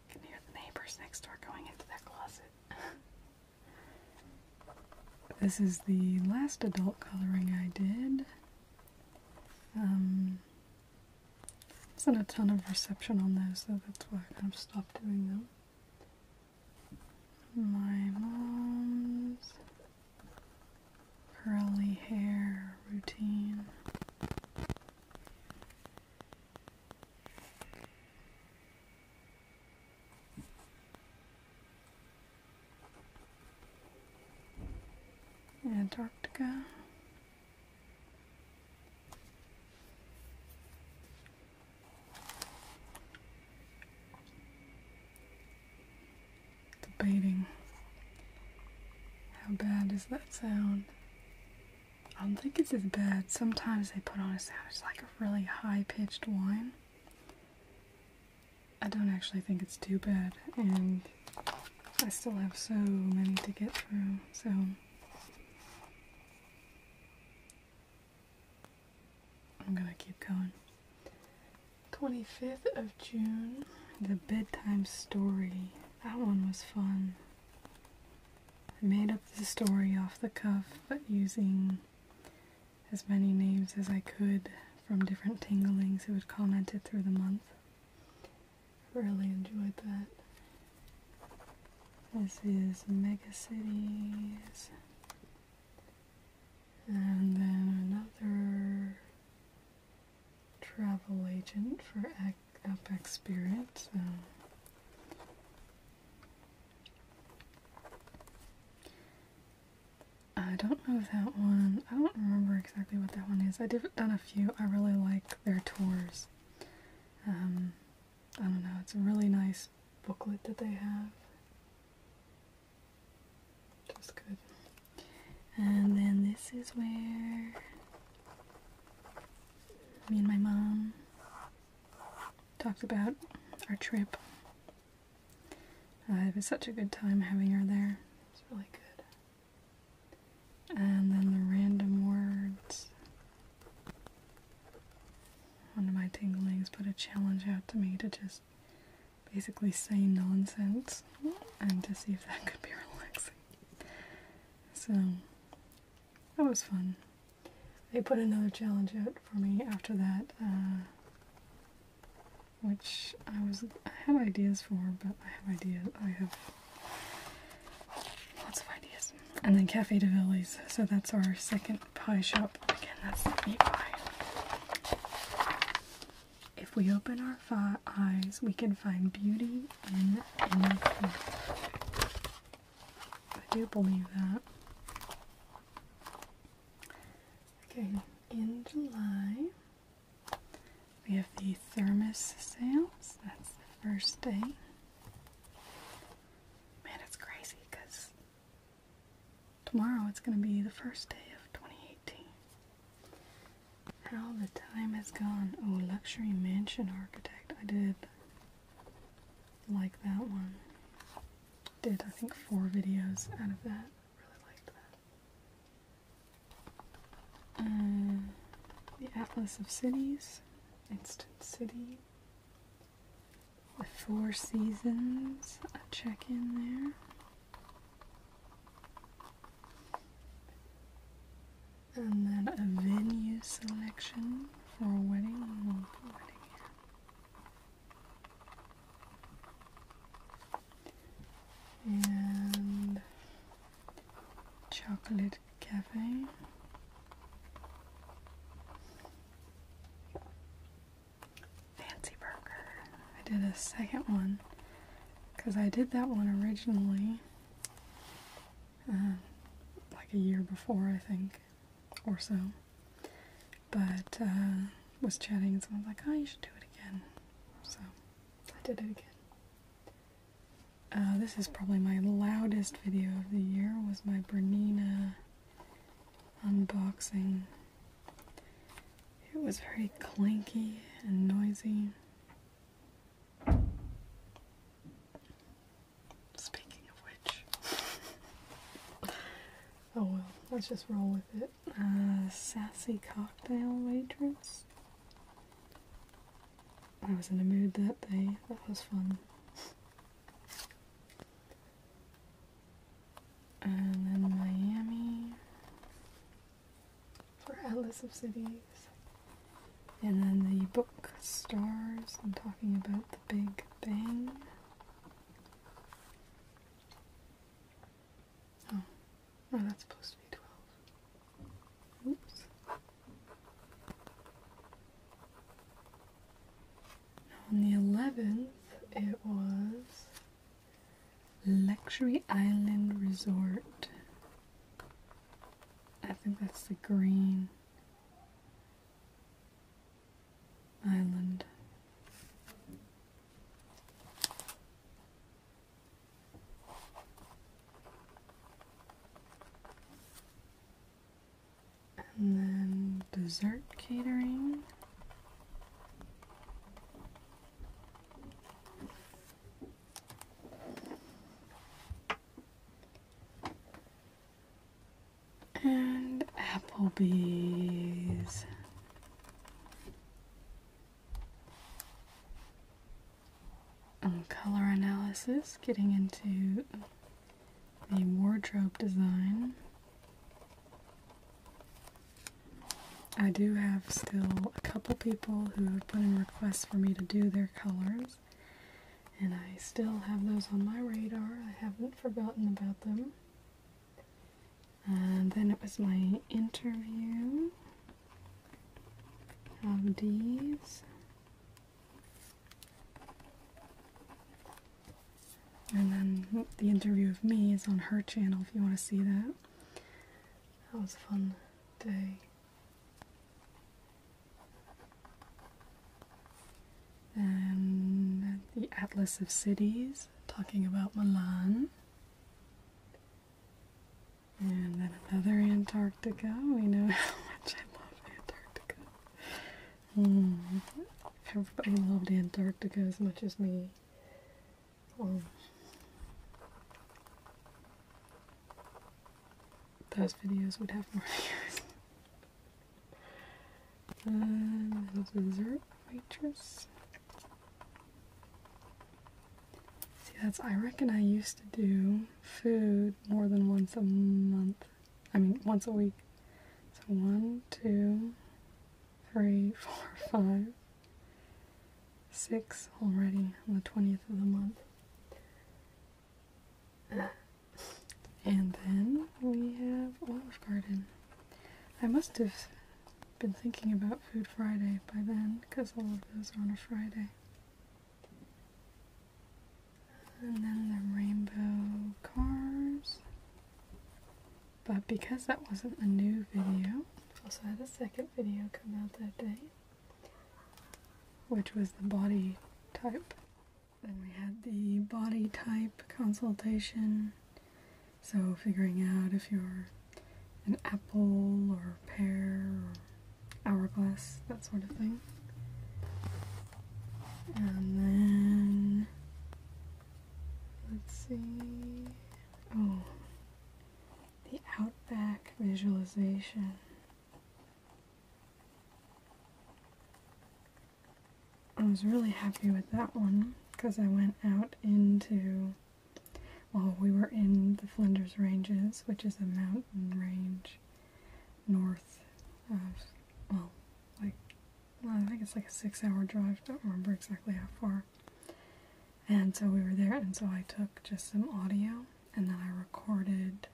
can hear the neighbors next door going into their closet. this is the last adult coloring I did. Um, wasn't a ton of reception on those, so that's why I kind of stopped doing them. My mom's curly hair routine. Antarctica debating how bad does that sound. I don't think it's as bad. Sometimes they put on a sound, it's like a really high pitched whine. I don't actually think it's too bad, and I still have so many to get through, so. I'm gonna keep going. 25th of June, The Bedtime Story that one was fun. I made up the story off the cuff, but using as many names as I could from different tinglings who had commented through the month. Really enjoyed that. This is Mega Cities. And then another travel agent for Up Spirits. I don't know that one, I don't remember exactly what that one is. I have done a few. I really like their tours. Um, I don't know, it's a really nice booklet that they have. Just good. And then this is where me and my mom talked about our trip. Uh, it was such a good time having her there. It's really good. And then the random words. One of my tinglings put a challenge out to me to just basically say nonsense and to see if that could be relaxing. So that was fun. They put another challenge out for me after that, uh, which I was I had ideas for, but I have ideas. I have lots of ideas. And then Cafe de Villies. So that's our second pie shop. Again, that's the meat pie. If we open our eyes, we can find beauty in anything. I do believe that. Okay, in July, we have the thermos sales. That's the first day. Man, it's crazy because tomorrow it's going to be the first day of 2018. How the time has gone. Oh, luxury mansion architect. I did like that one. Did I think four videos out of that? Really liked that. Uh, the Atlas of Cities, Instant City. The Four Seasons, a check in there. And then a venue selection for a wedding. And chocolate cafe. Fancy burger. I did a second one because I did that one originally uh, like a year before, I think, or so. But uh, was chatting, and someone's like, "Oh, you should do it again." So I did it again. Uh, this is probably my loudest video of the year. Was my Bernina unboxing. It was very clanky and noisy. Speaking of which. oh well, let's just roll with it. Uh, sassy cocktail waitress. I was in a mood that day. That was fun. And then Miami for Atlas of Cities. And then the book Stars, I'm talking about the Big Bang. Oh, well, that's supposed to be 12. Oops. On the 11th, it was Luxury Island Resort. I think that's the green island. And then dessert catering and Applebee's. color analysis, getting into the wardrobe design. I do have still a couple people who have put in requests for me to do their colors. And I still have those on my radar. I haven't forgotten about them. And then it was my interview of these. And then the interview of me is on her channel if you want to see that. That was fun day. Then the Atlas of Cities, talking about Milan. And then another Antarctica. We know how much I love Antarctica. Hmm. Everybody loved Antarctica as much as me. Oh those videos would have more views. And uh, those dessert waitress. See, that's, I reckon I used to do food more than once a month. I mean, once a week. So one, two, three, four, five, six already on the 20th of the month. And then we have Olive Garden. I must have been thinking about Food Friday by then because all of those are on a Friday. And then the rainbow cars. But because that wasn't a new video, also had a second video come out that day which was the body type. Then we had the body type consultation, so figuring out if you're an apple or pear or hourglass, that sort of thing. And then, let's see, oh, the outback visualization. I was really happy with that one because I went out into, well, we were in the Flinders Ranges, which is a mountain range north of, well, like, well, I think it's like a six hour drive, don't remember exactly how far. And so we were there, and so I took just some audio, and then I recorded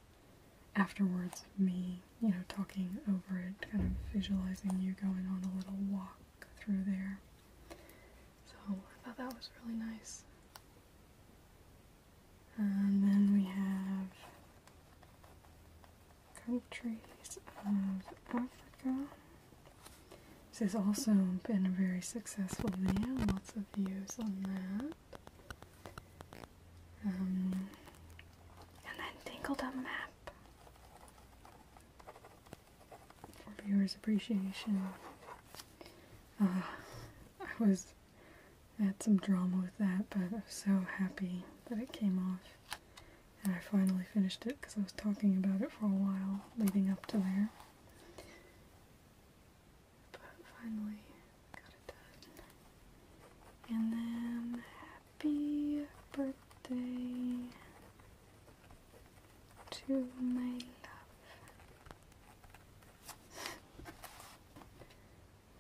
afterwards, me, you know, talking over it, kind of visualizing you going on a little walk through there. So I thought that was really nice. And then we have countries of Africa. This has also been a very successful video, lots of views on that. Um, and then Tinkled the Map for viewers' appreciation. Uh, I was at some drama with that, but I was so happy that it came off. And I finally finished it because I was talking about it for a while leading up to there. But finally got it done. And then happy birthday to my love.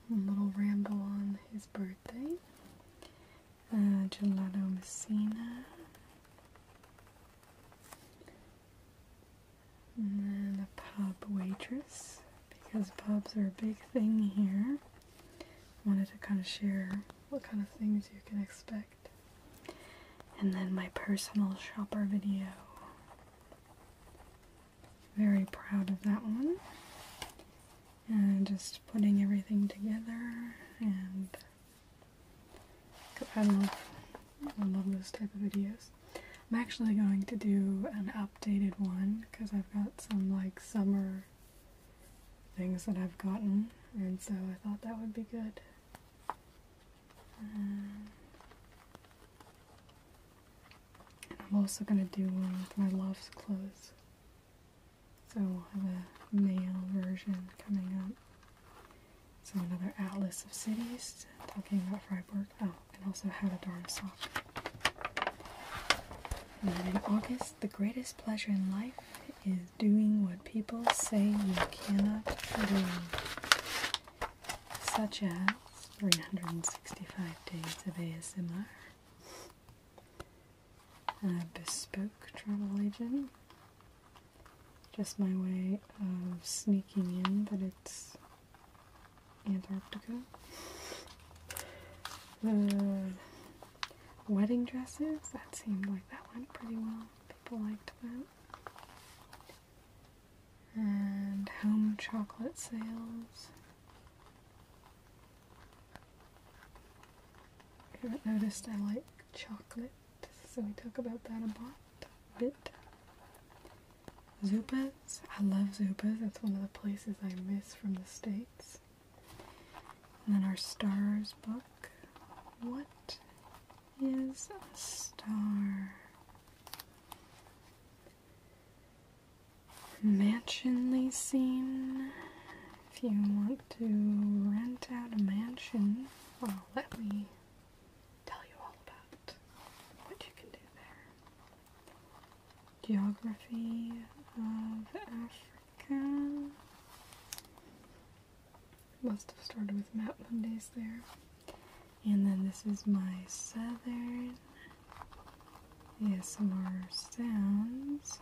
A little ramble on his birthday. Uh, gelato Messina. And then a pub waitress, because pubs are a big thing here. Wanted to kind of share what kind of things you can expect. And then my personal shopper video. Very proud of that one. And just putting everything together and I love I love those type of videos. I'm actually going to do an updated one because I've got some like summer things that I've gotten, and so I thought that would be good. Um, and I'm also going to do one with my love's clothes. So we'll have a male version coming up. So another Atlas of Cities, talking about Freiburg. Oh, and also How to Darn a Sock. And in August, the greatest pleasure in life is doing what people say you cannot do, such as 365 days of ASMR, a bespoke travel agent, just my way of sneaking in that it's Antarctica. wedding dresses, that seemed like that went pretty well. People liked that. And home chocolate sales. If haven't noticed, I like chocolate, so we talk about that a lot. Zupas. I love Zupas. That's one of the places I miss from the States. And then our stars book. What is a star? Mansionly scene. If you want to rent out a mansion, well, let me tell you all about what you can do there. Geography of Africa. Must have started with Map Mondays there. And then this is my southern ASMR sounds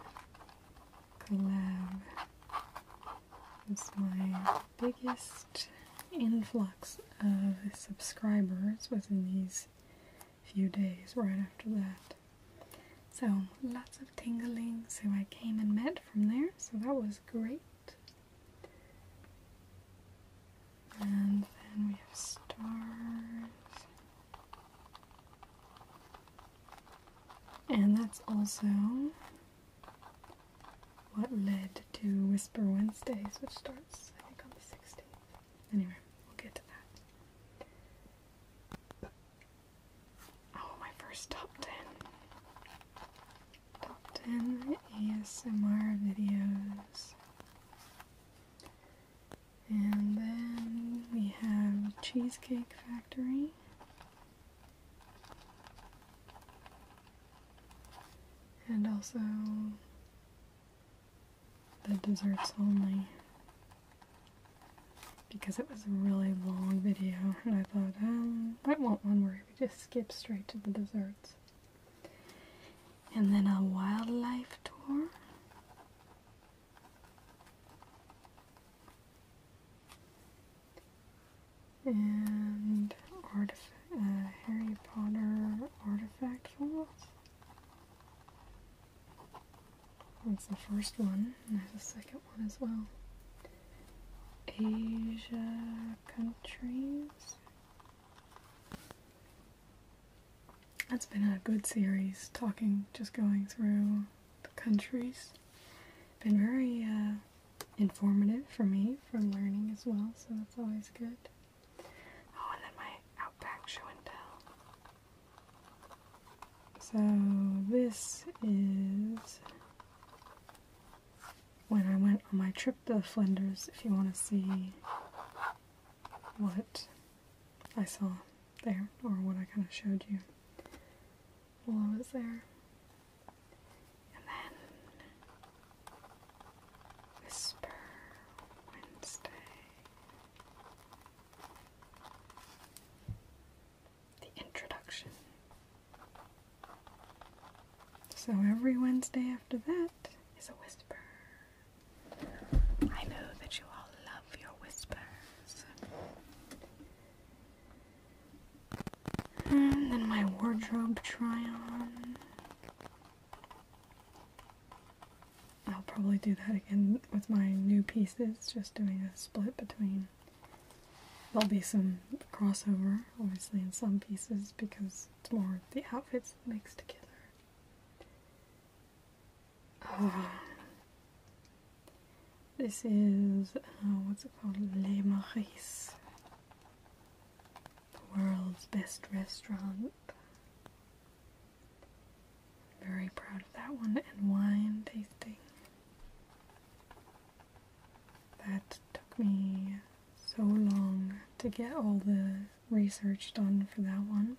collab. is my biggest influx of subscribers within these few days right after that. So lots of tingling. So I came and met from there, so that was great. And then we have stars. And that's also what led to Whisper Wednesdays, which starts, I think, on the 16th. Anyway, we'll get to that. Oh, my first top 10. Top 10 ASMR videos. And then we have Cheesecake Factory. And also the desserts only because it was a really long video and I thought, um, I want one where we just skip straight to the desserts. And then a wildlife tour. And artif uh, Harry Potter artifact falls. That's the first one, and there's a second one as well. Asia countries. That's been a good series, talking, just going through the countries. Been very uh, informative for me for learning as well, so that's always good. Oh, and then my Outback show and tell. So this is when I went on my trip to Flinders, if you want to see what I saw there, or what I kind of showed you while I was there. And then Whisper Wednesday. The introduction. So every Wednesday after that is a whisper. I know that you all love your whispers. And then my wardrobe try on. I'll probably do that again with my new pieces, just doing a split between. There'll be some crossover, obviously, in some pieces because it's more the outfits mixed together. This is, uh, what's it called? Les Maris. The world's best restaurant up. Very proud of that one. And wine tasting. That took me so long to get all the research done for that one.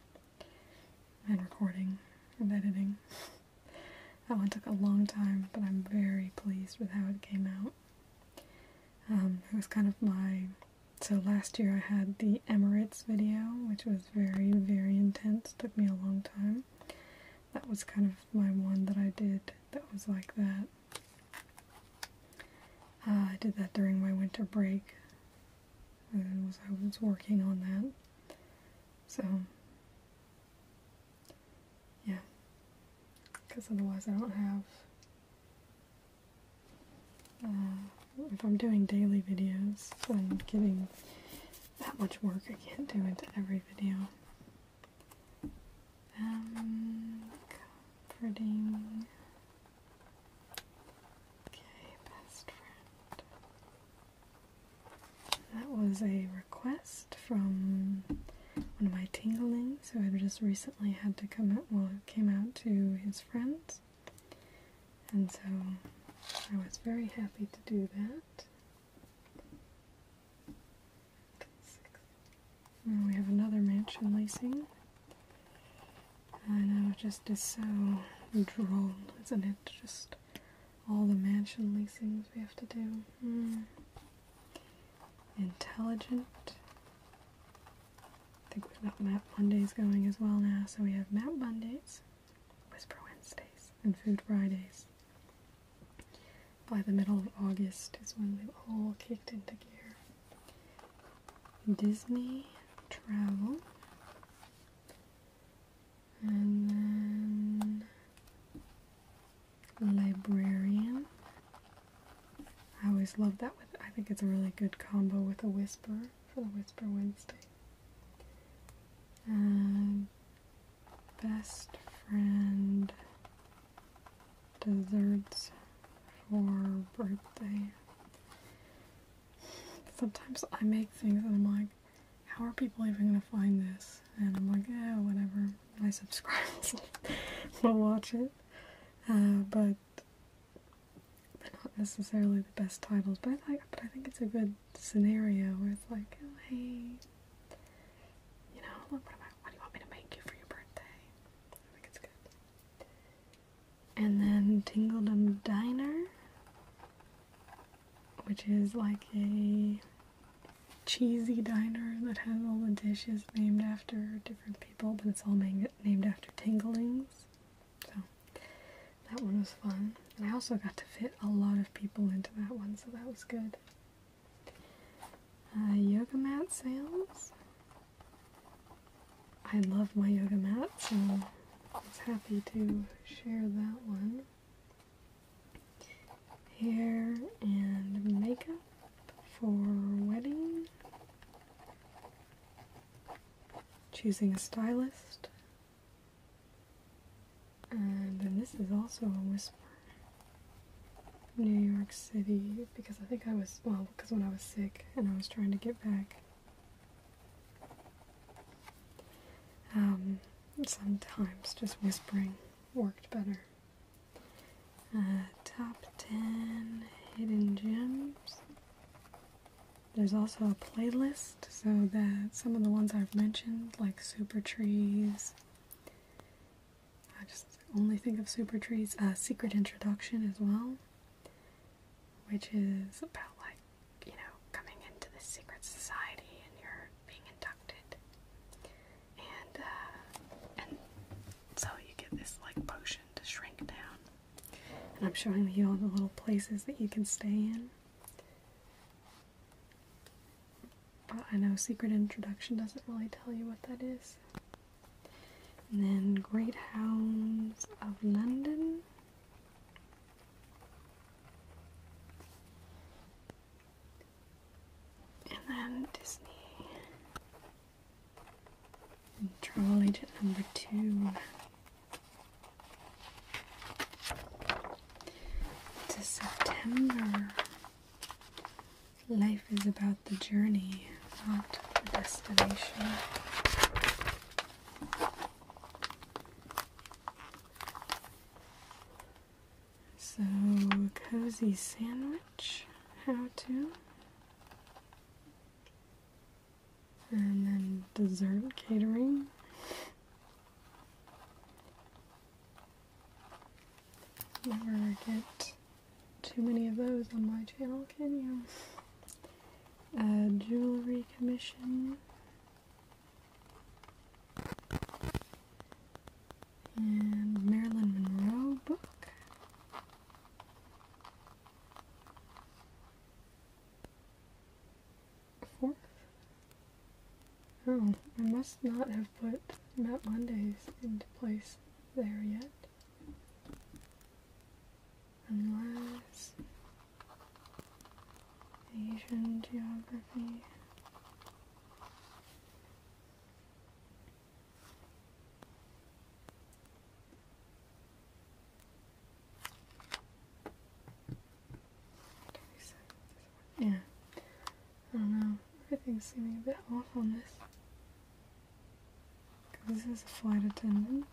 And recording and editing. that one took a long time, but I'm very pleased with how it came out. Um, it was kind of my so last year I had the Emirates video, which was very, very intense. Took me a long time. That was kind of my one that I did that was like that. Uh, I did that during my winter break. And was, I was working on that. So, yeah. Because otherwise I don't have uh, if I'm doing daily videos and getting that much work, I can't do into every video. Um, comforting. Okay, best friend. That was a request from one of my tinglings who had just recently had to come out, well, came out to his friends and so I was very happy to do that. we have another mansion leasing, I know, just is so droll, isn't it? Just all the mansion leasings we have to do. Hmm. Intelligent I think we've got Map Mondays going as well now. So we have Map Mondays, Whisper Wednesdays, and Food Fridays. By the middle of August is when they've all kicked into gear. Disney travel. And then librarian. I always love that with I think it's a really good combo with a whisper for the Whisper Wednesday. Um, best friend desserts for birthday. Sometimes I make things and I'm like, how are people even gonna find this? And I'm like, yeah, whatever. My subscribers will watch it. Uh, but not necessarily the best titles, but I like, but I think it's a good scenario where it's like, oh, hey, you know, look, what, am I, do you want me to make you for your birthday? I think it's good. And then Tingledom Diner, which is like a cheesy diner that has all the dishes named after different people, but it's all named after tinglings. So that one was fun. And I also got to fit a lot of people into that one, so that was good. Uh, yoga mat sales. I love my yoga mat, so I was happy to share that one. Hair and makeup for wedding choosing a stylist. And then this is also a whisper. New York City, because I think I was, well, because when I was sick and I was trying to get back. Um, sometimes just whispering worked better. Uh, top 10 hidden gems. There's also a playlist so that some of the ones I've mentioned, like Super Trees, I just only think of Super Trees, uh, Secret Introduction as well, which is about like, you know, coming into this secret society and you're being inducted. And, uh, and so you get this like potion to shrink down. And I'm showing you all the little places that you can stay in. But I know Secret Introduction doesn't really tell you what that is. And then Great Hounds of London. And then Disney. And Travel Agent number two to September. Life is about the journey, not the destination. So, a cozy sandwich, how to? And then dessert catering. Never get too many of those on my channel, can you? Uh, jewelry commission. And Marilyn Monroe book fourth? Oh, I must not have put Map Mondays into place there yet. Unless Asian geography. Yeah. I don't know. Everything's seeming a bit off on this. This is a flight attendant.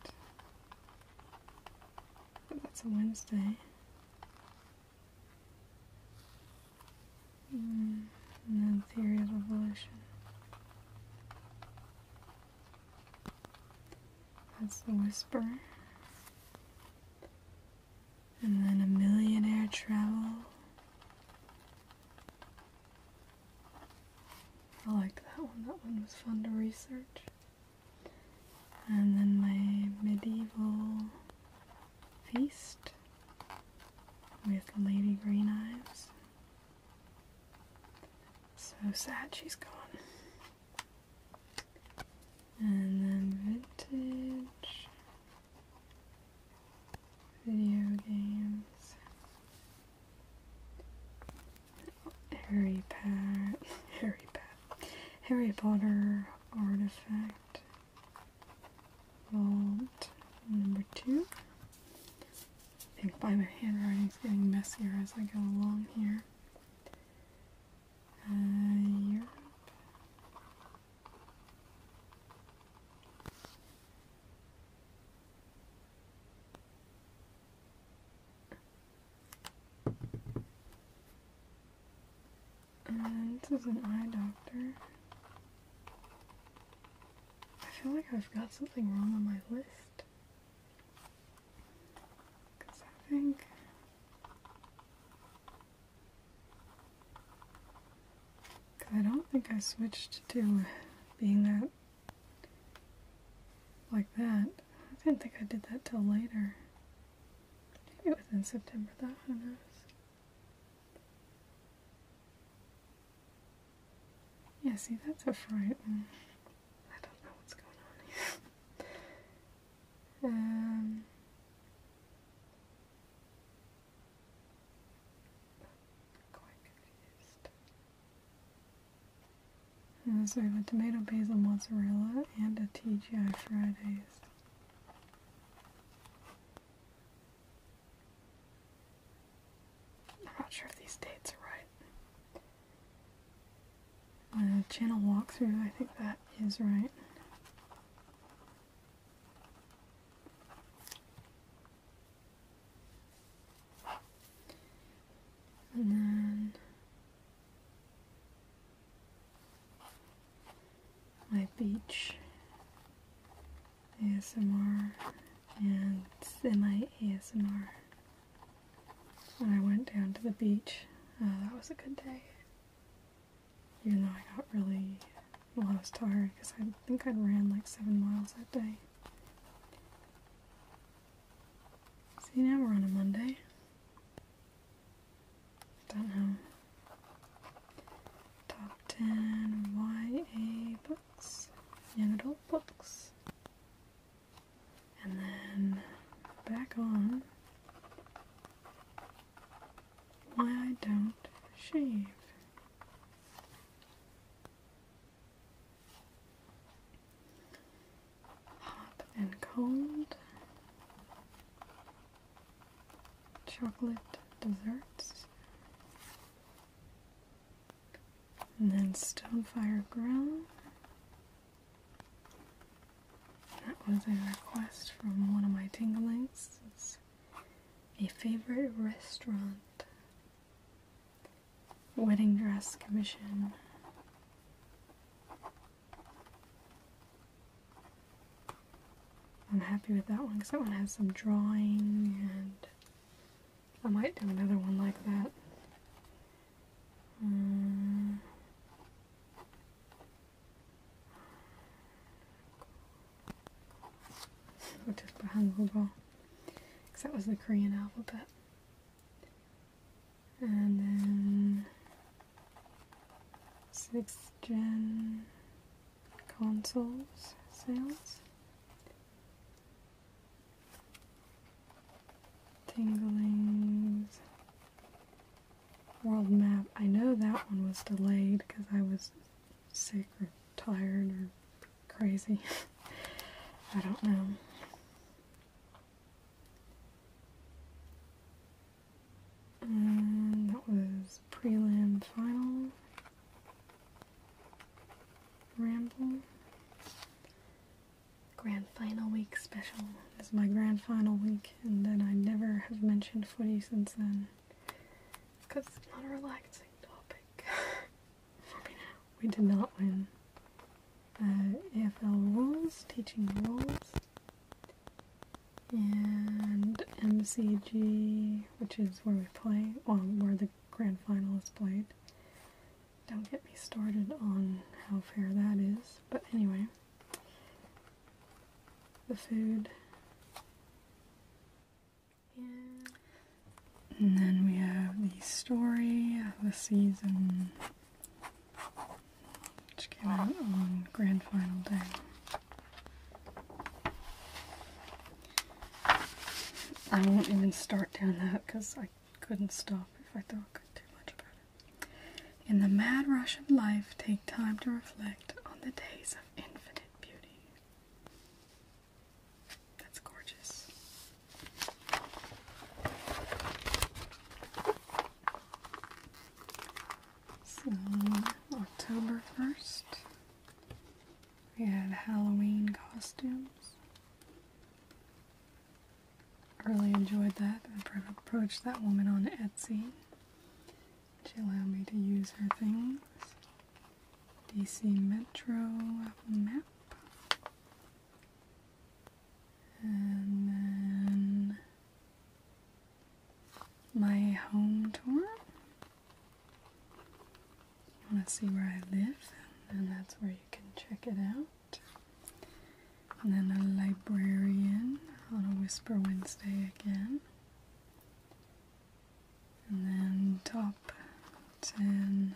But that's a Wednesday. Mm. And then theory of evolution. That's the whisper. And then a millionaire travel. I like that one. That one was fun to research. And then my medieval feast with Lady Green Eyes. So sad she's gone. And then vintage video games. Harry Potter. Harry Potter. Harry Potter artifact vault number two. I think by my handwriting's getting messier as I go along here. Uh, this is an eye doctor. I feel like I've got something wrong on my list. Because I think Cause I don't think I switched to being that like that. I didn't think I did that till later. Maybe it was in September though, who knows? Yeah, see, that's a fright. Mm. I don't know what's going on here. Um, quite confused. Uh, tomato, basil, mozzarella, and a TGI Fridays. I'm not sure if these dates are right. Uh, channel walkthrough, I think that is right. And then my beach ASMR and semi ASMR when I went down to the beach. Uh, that was a good day. Even though I got really, well, I was tired because I think I ran like seven miles that day. See, now we're on a Monday. Don't know. Top 10 YA books, young adult books and then back on why I don't shave. Hot and cold, chocolate desserts, and then stone fire grill, that was a request from one of my tinglings. a favorite restaurant. Wedding dress commission. I'm happy with that one because that one has some drawing and I might do another one like that. Mm. just behind Because that was the Korean alphabet. And then sixth gen consoles sales. Tinglings world map. I know that one was delayed because I was sick or tired or crazy. I don't know. that was prelim final ramble grand final week special is my grand final week, and then I never have mentioned footy since then. because it's not a relaxing topic. we did not win. AFL uh, rules, teaching rules, and MCG, which is where we play, well, where the grand final is played. Don't get me started on how fair that is, but anyway the food. And, and then we have the story of the season, which came out on Grand Final Day. I won't even start down that because I couldn't stop if I thought I do much about it. In the mad rush of life, take time to reflect on the days of infinite beauty. That's gorgeous. So, October 1st, we had Halloween costumes really enjoyed that. I approached that woman on Etsy. She allowed me to use her things. DC Metro map. And then my home tour. You want to see where I live, and that's where you can check it out. And then a librarian on a Whisper Wednesday again. And then top 10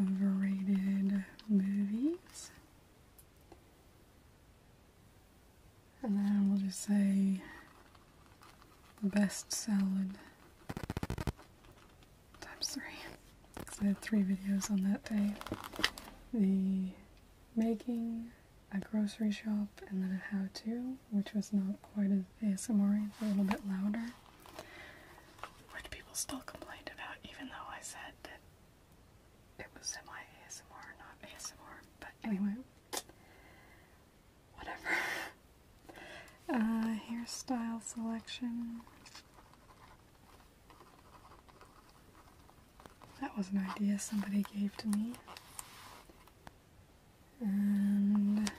overrated movies. And then we'll just say the best salad times three. Because I had three videos on that day. The making a grocery shop and then a how to, which was not quite as ASMR, it's a little bit louder, which people still complained about, even though I said that it was semi ASMR, not ASMR. But anyway, whatever. uh, hairstyle selection that was an idea somebody gave to me. And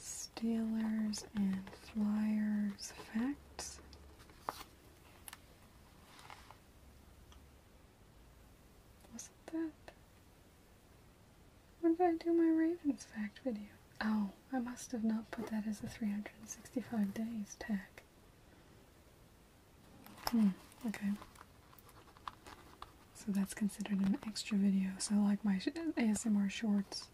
Steelers and Flyers facts. Wasn't that? When did I do my Ravens fact video? Oh, I must have not put that as a 365 days tag. Hmm, okay. So that's considered an extra video. So like my ASMR shorts,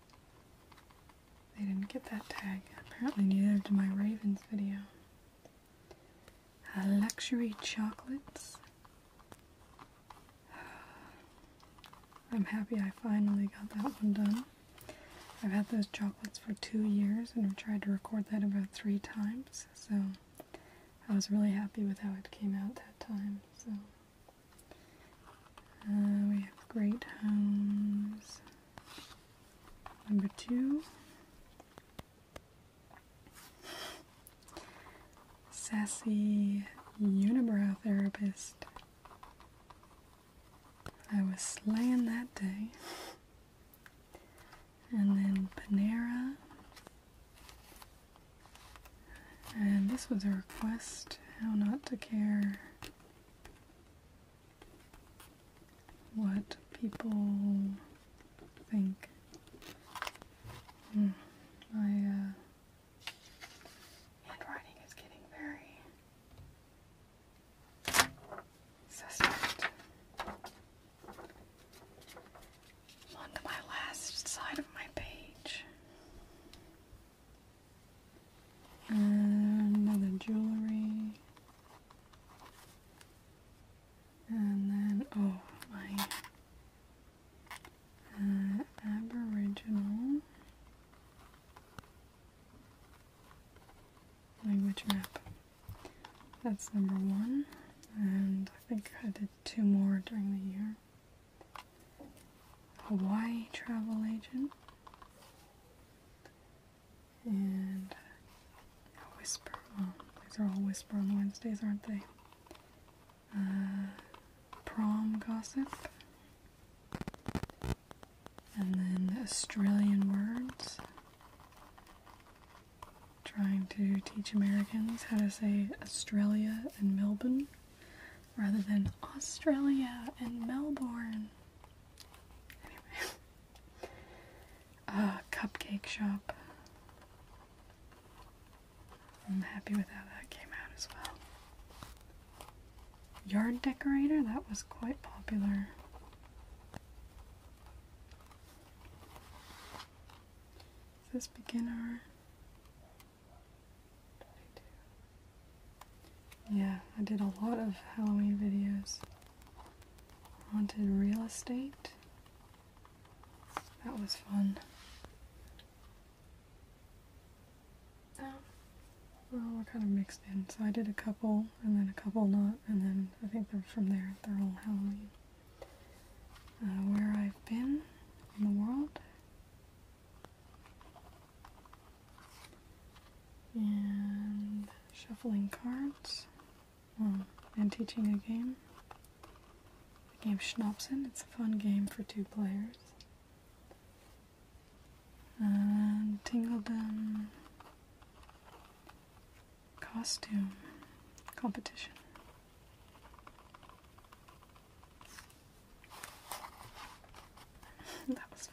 they didn't get that tag. Apparently neither did my Ravens video. luxury chocolates. I'm happy I finally got that one done. I've had those chocolates for two years and I've tried to record that about three times, so I was really happy with how it came out that time. So uh, we have Great Homes number two. Sassy Unibrow Therapist. I was slaying that day and then Panera. And this was a request how not to care what people think. Mm, handwriting is getting very suspect. my last side of my page. And another jewelry. And then, oh, my uh, Aboriginal language map. That's number one, and I think I did two more during the year. Hawaii travel agent, and Whisper. Oh, these are all Whisper on Wednesdays, aren't they? Uh, prom gossip, and then Australian words, trying to teach Americans how to say Australia and Melbourne rather than Australia and Melbourne. Anyway, cupcake shop. I'm happy with how that came out as well. Yard decorator, that was quite popular this beginner. Yeah, I did a lot of Halloween videos. Haunted real estate. That was fun. Oh. well, we're kind of mixed in. So I did a couple and then a couple not and then I think they're from there, they're all Halloween. Uh, where I've been in the world. And shuffling cards. and teaching a game. The game Schnapsen. It's a fun game for two players. And Tingledom costume competition. that was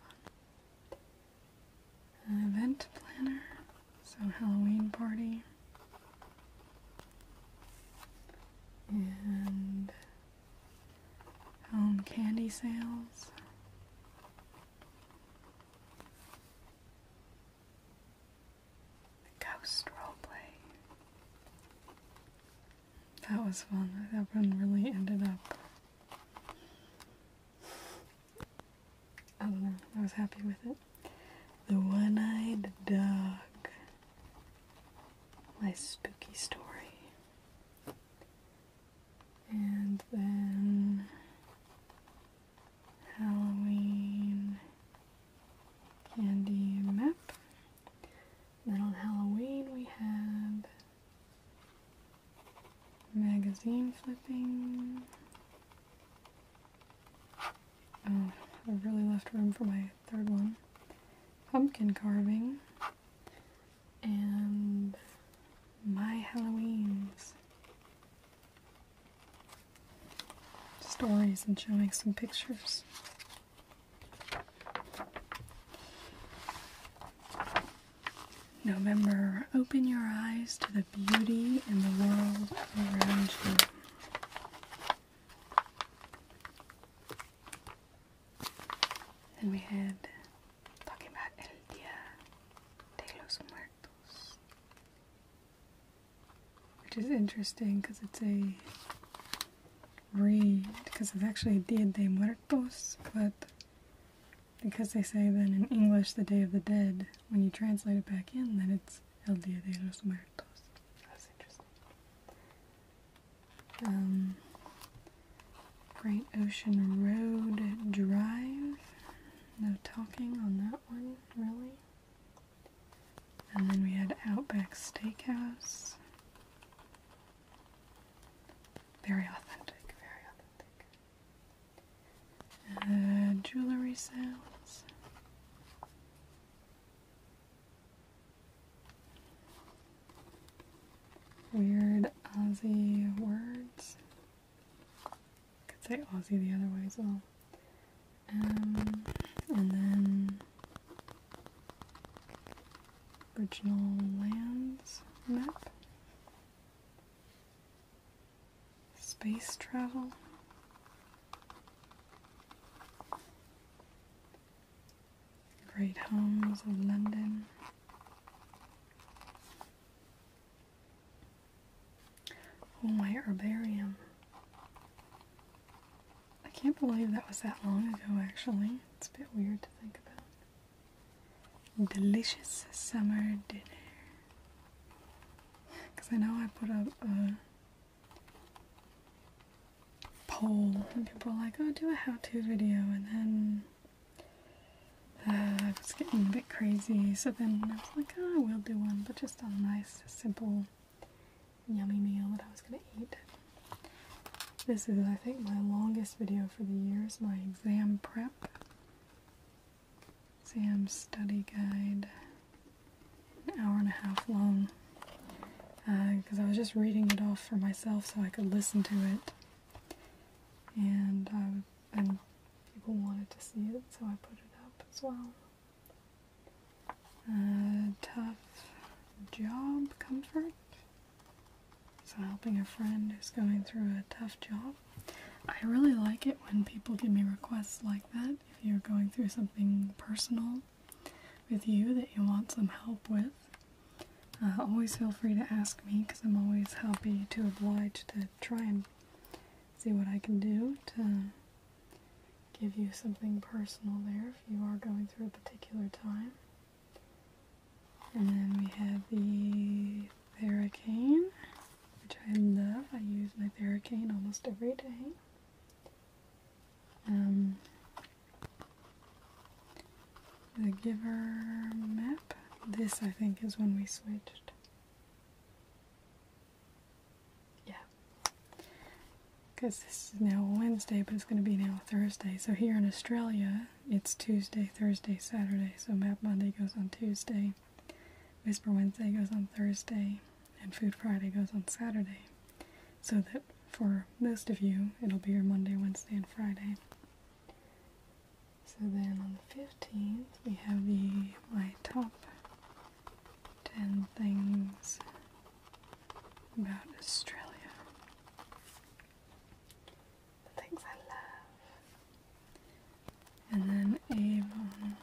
fun. event planner, so Halloween party. And home candy sales. The ghost roleplay. That was fun. That one really ended up. I don't know. I was happy with it. The One Eyed Dog. My spooky story. And then Halloween candy map. Then on Halloween we have magazine flipping. Oh, I really left room for my third one. Pumpkin carving. And my Halloweens stories and showing some pictures. November, open your eyes to the beauty in the world around you. Then we had talking about El Dia de los Muertos which is interesting because it's a read because it's actually Dia de Muertos, but because they say that in English, the Day of the Dead, when you translate it back in, then it's El Dia de los Muertos. That's interesting. Um, Great Ocean Road Drive. No talking on that one, really. And then we had Outback Steakhouse. Very authentic, very authentic. Uh, jewelry sales. Weird Aussie words could say Aussie the other way as well. Um, and then original lands map, space travel. Great Homes of London, Oh, my herbarium. I can't believe that was that long ago, actually. It's a bit weird to think about. Delicious summer dinner. Because I know I put up a poll, and people were like, oh, do a how to video, and then. Uh, I was getting a bit crazy, so then I was like, oh, I will do one, but just just a nice, simple, yummy meal that I was going to eat. This is, I think, my longest video for the year is my exam prep, exam study guide, an hour and a half long, because uh, I was just reading it off for myself so I could listen to it, and, um, and people wanted to see it, so I put it up as well. Uh, tough job comfort. So, helping a friend who's going through a tough job. I really like it when people give me requests like that. If you're going through something personal with you that you want some help with, uh, always feel free to ask me because I'm always happy to oblige to try and see what I can do to give you something personal there if you are going through a particular time. And then we have the Theracane, which I love. I use my Theracane almost every day. Um, the Giver map. This, I think, is when we switched. Yeah. Because this is now Wednesday, but it's going to be now Thursday. So here in Australia, it's Tuesday, Thursday, Saturday. So Map Monday goes on Tuesday, Whisper Wednesday goes on Thursday, and Food Friday goes on Saturday. So that for most of you, it'll be your Monday, Wednesday, and Friday. So then on the 15th, we have the my top 10 things about Australia. The things I love. And then Avon.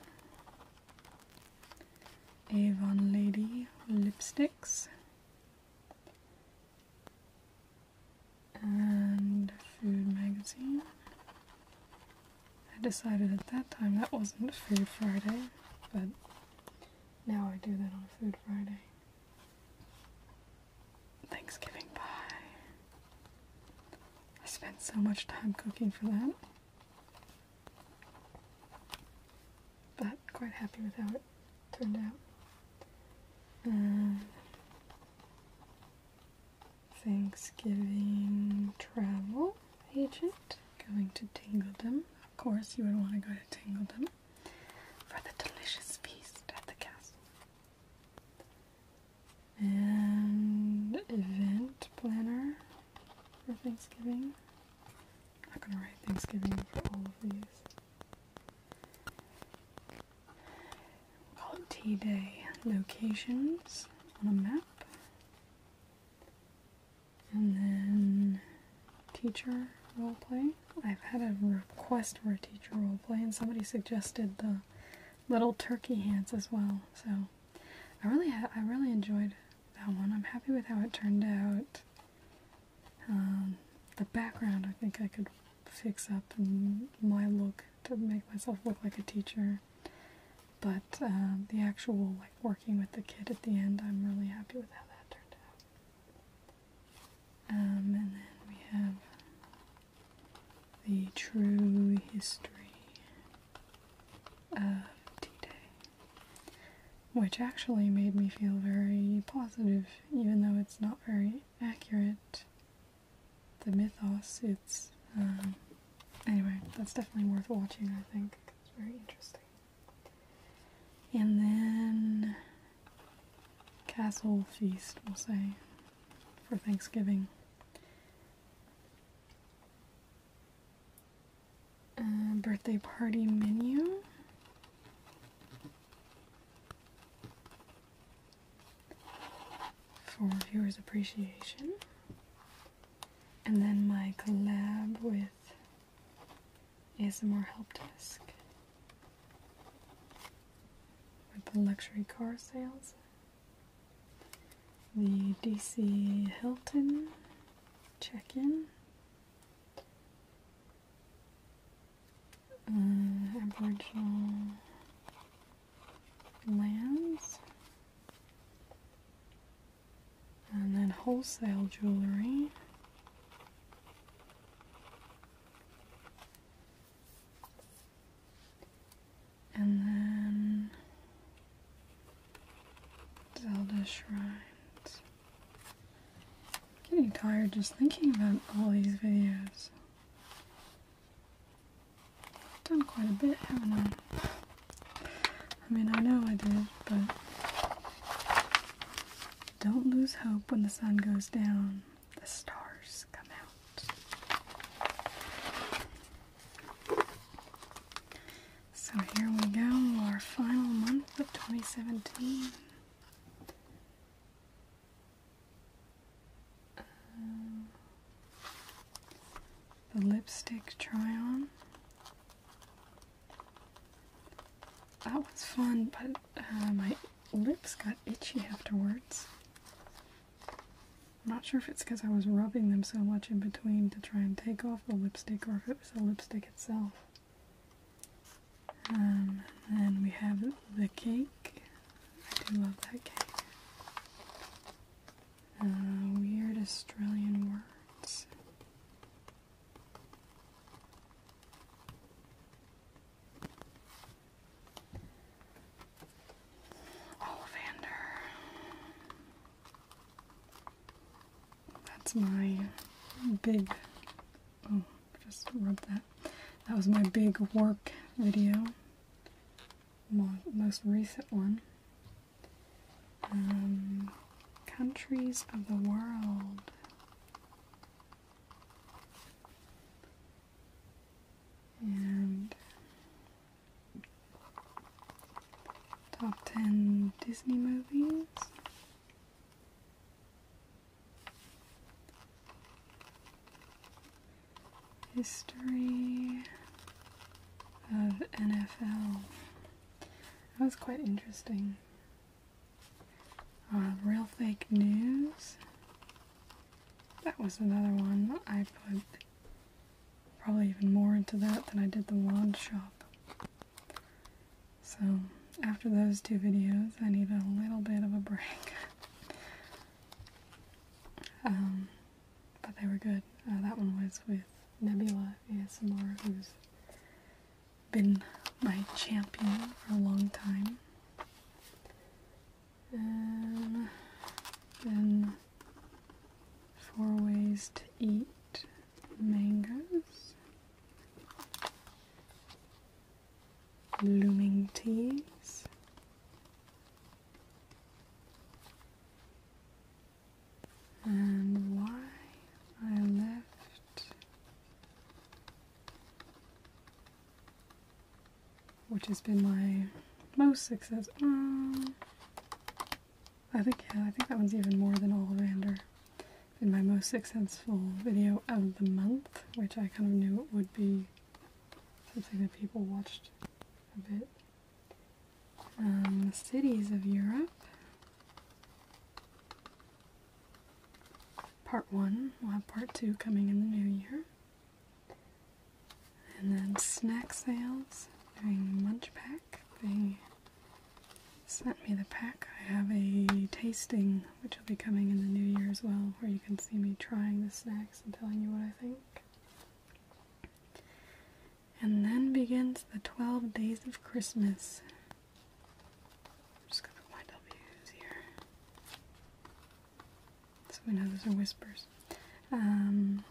Avon Lady lipsticks. And Food Magazine. I decided at that time that wasn't Food Friday, but now I do that on Food Friday. Thanksgiving pie. I spent so much time cooking for that. But quite happy with how it turned out. Uh, Thanksgiving travel agent going to Tingledom. Of course, you would want to go to Tingledom for the delicious feast at the castle. And event planner for Thanksgiving. I'm not going to write Thanksgiving for all of these. we call it Tea Day locations on a map. And then teacher role play. I've had a request for a teacher role play, and somebody suggested the little turkey hands as well. So I really, I really enjoyed that one. I'm happy with how it turned out. Um, the background, I think I could fix up my look to make myself look like a teacher. But uh, the actual like working with the kid at the end, I'm really happy with how that turned out. Um, and then we have the true history of D-Day, which actually made me feel very positive, even though it's not very accurate. The mythos, it's um, anyway. That's definitely worth watching, I think very interesting. And then castle feast, we'll say, for Thanksgiving. Uh, birthday party menu. For viewers' appreciation and then my collab with ASMR Help Desk with the luxury car sales, the DC Hilton check in. Uh, Aboriginal lands and then wholesale jewelry. And then Zelda shrines. getting tired just thinking about all these videos. I've done quite a bit, haven't I? I mean, I know I did, but don't lose hope when the sun goes down. The stars come out. So here we go, our final month of 2017 the lipstick try on. That was fun, but uh, my lips got itchy afterwards. I'm not sure if it's because I was rubbing them so much in between to try and take off the lipstick or if it was the lipstick itself. Um, and then we have the cake. I do love that cake. Uh, weird Australian words. Ollivander. That's my big. Oh, just rub that. That was my big work video. most recent one. Um, countries of the world. And top 10 Disney movies. History of NFL. That was quite interesting. Uh, real Fake News. That was another one I put probably even more into that than I did the wand shop. So after those two videos, I need a little bit of a break. Um, but they were good. Uh, that one was with Nebula ASMR, who's been my champion for a long time. And um, four ways to eat mangoes, blooming teas and why I left, which has been my most successful. Mm, I think yeah, I think that one's even more than Ollivander. In my most successful video of the month, which I kind of knew it would be something that people watched a bit um, cities of Europe. Part one. We'll have part two coming in the new year. And then snack sales. Doing Munch Pack. They sent me the pack. I have a tasting which will be coming in the new year as well, where you can see me trying the snacks and telling you what I think. And then begins the 12 days of Christmas. just going to put my W's here. So we know those are whispers. Um,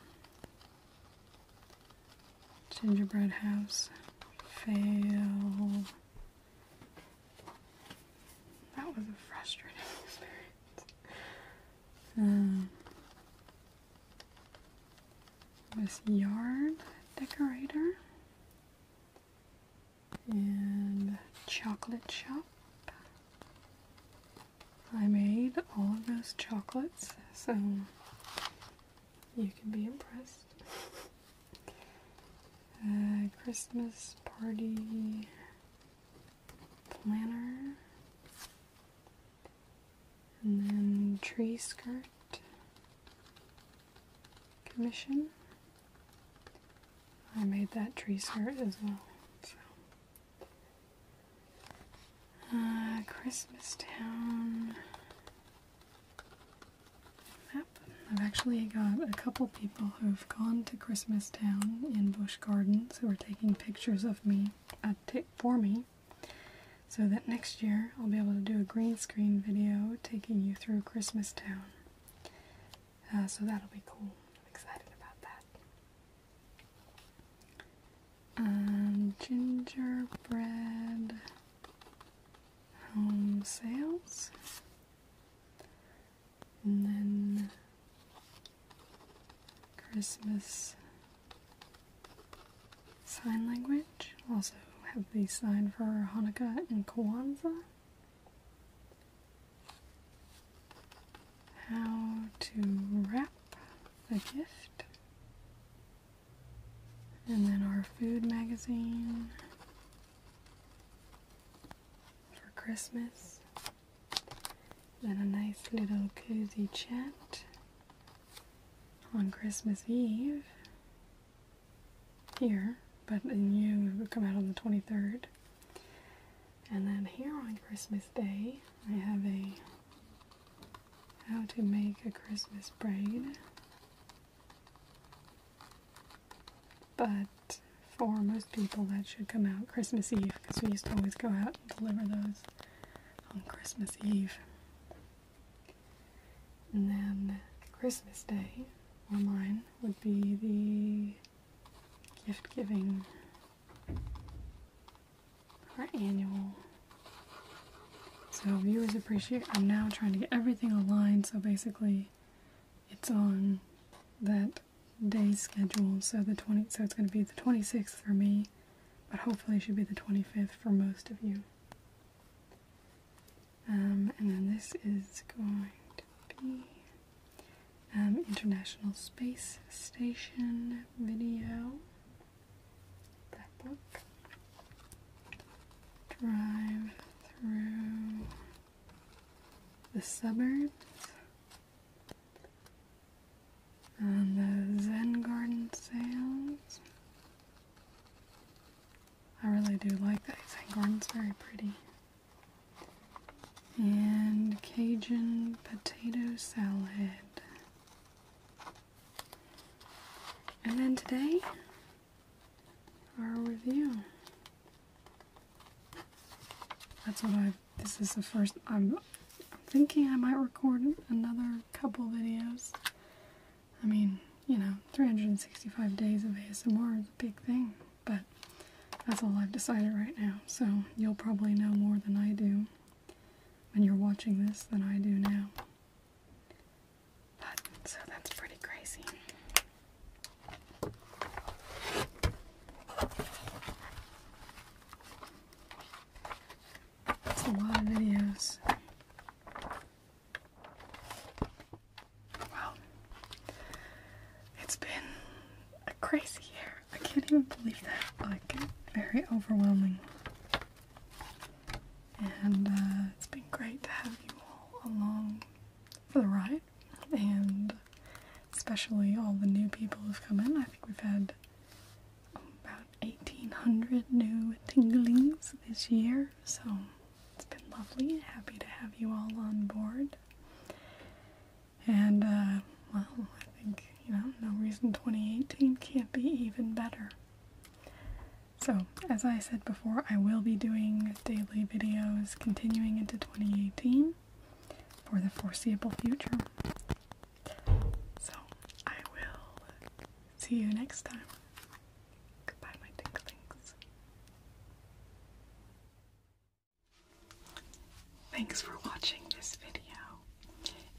gingerbread house. Fail. That was a frustrating experience. Um, with yarn decorator and chocolate shop. I made all of those chocolates, so you can be impressed. Christmas party planner. And then tree skirt commission. I made that tree skirt as well. Uh, Christmas Town map. I've actually got a couple people who've gone to Christmas Town in Bush Gardens who are taking pictures of me, uh, for me so that next year I'll be able to do a green screen video taking you through Christmas Town. Uh, so that'll be cool. I'm excited about that. Um, gingerbread home sales. And then Christmas Sign language. Also have the sign for Hanukkah and Kwanzaa. How to wrap a gift. And then our food magazine for Christmas. Then a nice little cozy chat on Christmas Eve here, but then you come out on the 23rd. And then here on Christmas Day, I have a how to make a Christmas braid. But for most people, that should come out Christmas Eve because we used to always go out and deliver those on Christmas Eve. And then Christmas Day, or mine, would be the gift giving, our annual. So viewers appreciate. I'm now trying to get everything aligned, so basically, it's on that day schedule. So the 20, so it's going to be the 26th for me, but hopefully should be the 25th for most of you. Um, and then this is going to be um, International Space Station video. That book. Drive through the suburbs. and the Zen Garden Sales. I really do like that. St. Gordon's very pretty. And Cajun potato salad. And then today, our review. That's what I, this is the 1st i I'm thinking I might record another couple videos. I mean, you know, 365 days of ASMR is a big thing, but that's all I've decided right now. So you'll probably know more than I do when you're watching this than I do now. But, so that's pretty crazy. It's Wow. It's been a crazy year. I can't even believe that. Like, very overwhelming. And uh, it's been great to have you all along for the ride. And especially all the new people who've come in. I think we've had about 1,800 new tinglings this year. So it's been lovely. and Happy to have you all on board. And, uh, well, I think, you know, no reason 2018 can't be even better. So, as I said before, I will be doing daily videos continuing into 2018 for the foreseeable future. So, I will see you next time. Goodbye, my tinklings. Thanks for watching this video.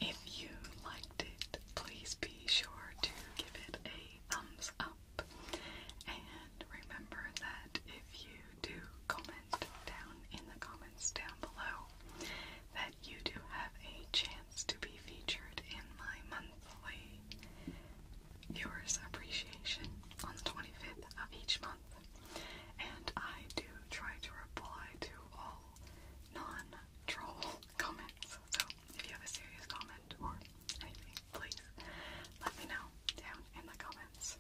If you liked it, please be sure to give it a thumbs up. And remember that if you do comment down in the comments down below, that you do have a chance to be featured in my monthly viewers appreciation on the 25th of each month. And I do try to reply to all non-troll comments. So if you have a serious comment or anything, please let me know down in the comments.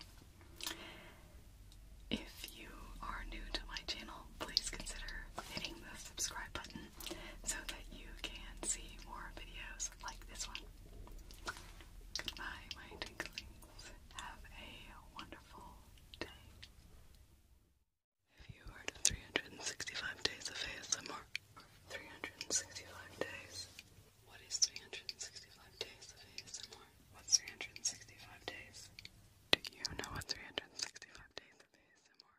If you are new to my channel, please consider hitting the subscribe button so that you can see more videos like this one. Goodbye, my twinklings. Have a wonderful day. If you heard of 365 days of ASMR, 365 days. What is 365 days of ASMR? What's 365 days? Do you know what 365 days of ASMR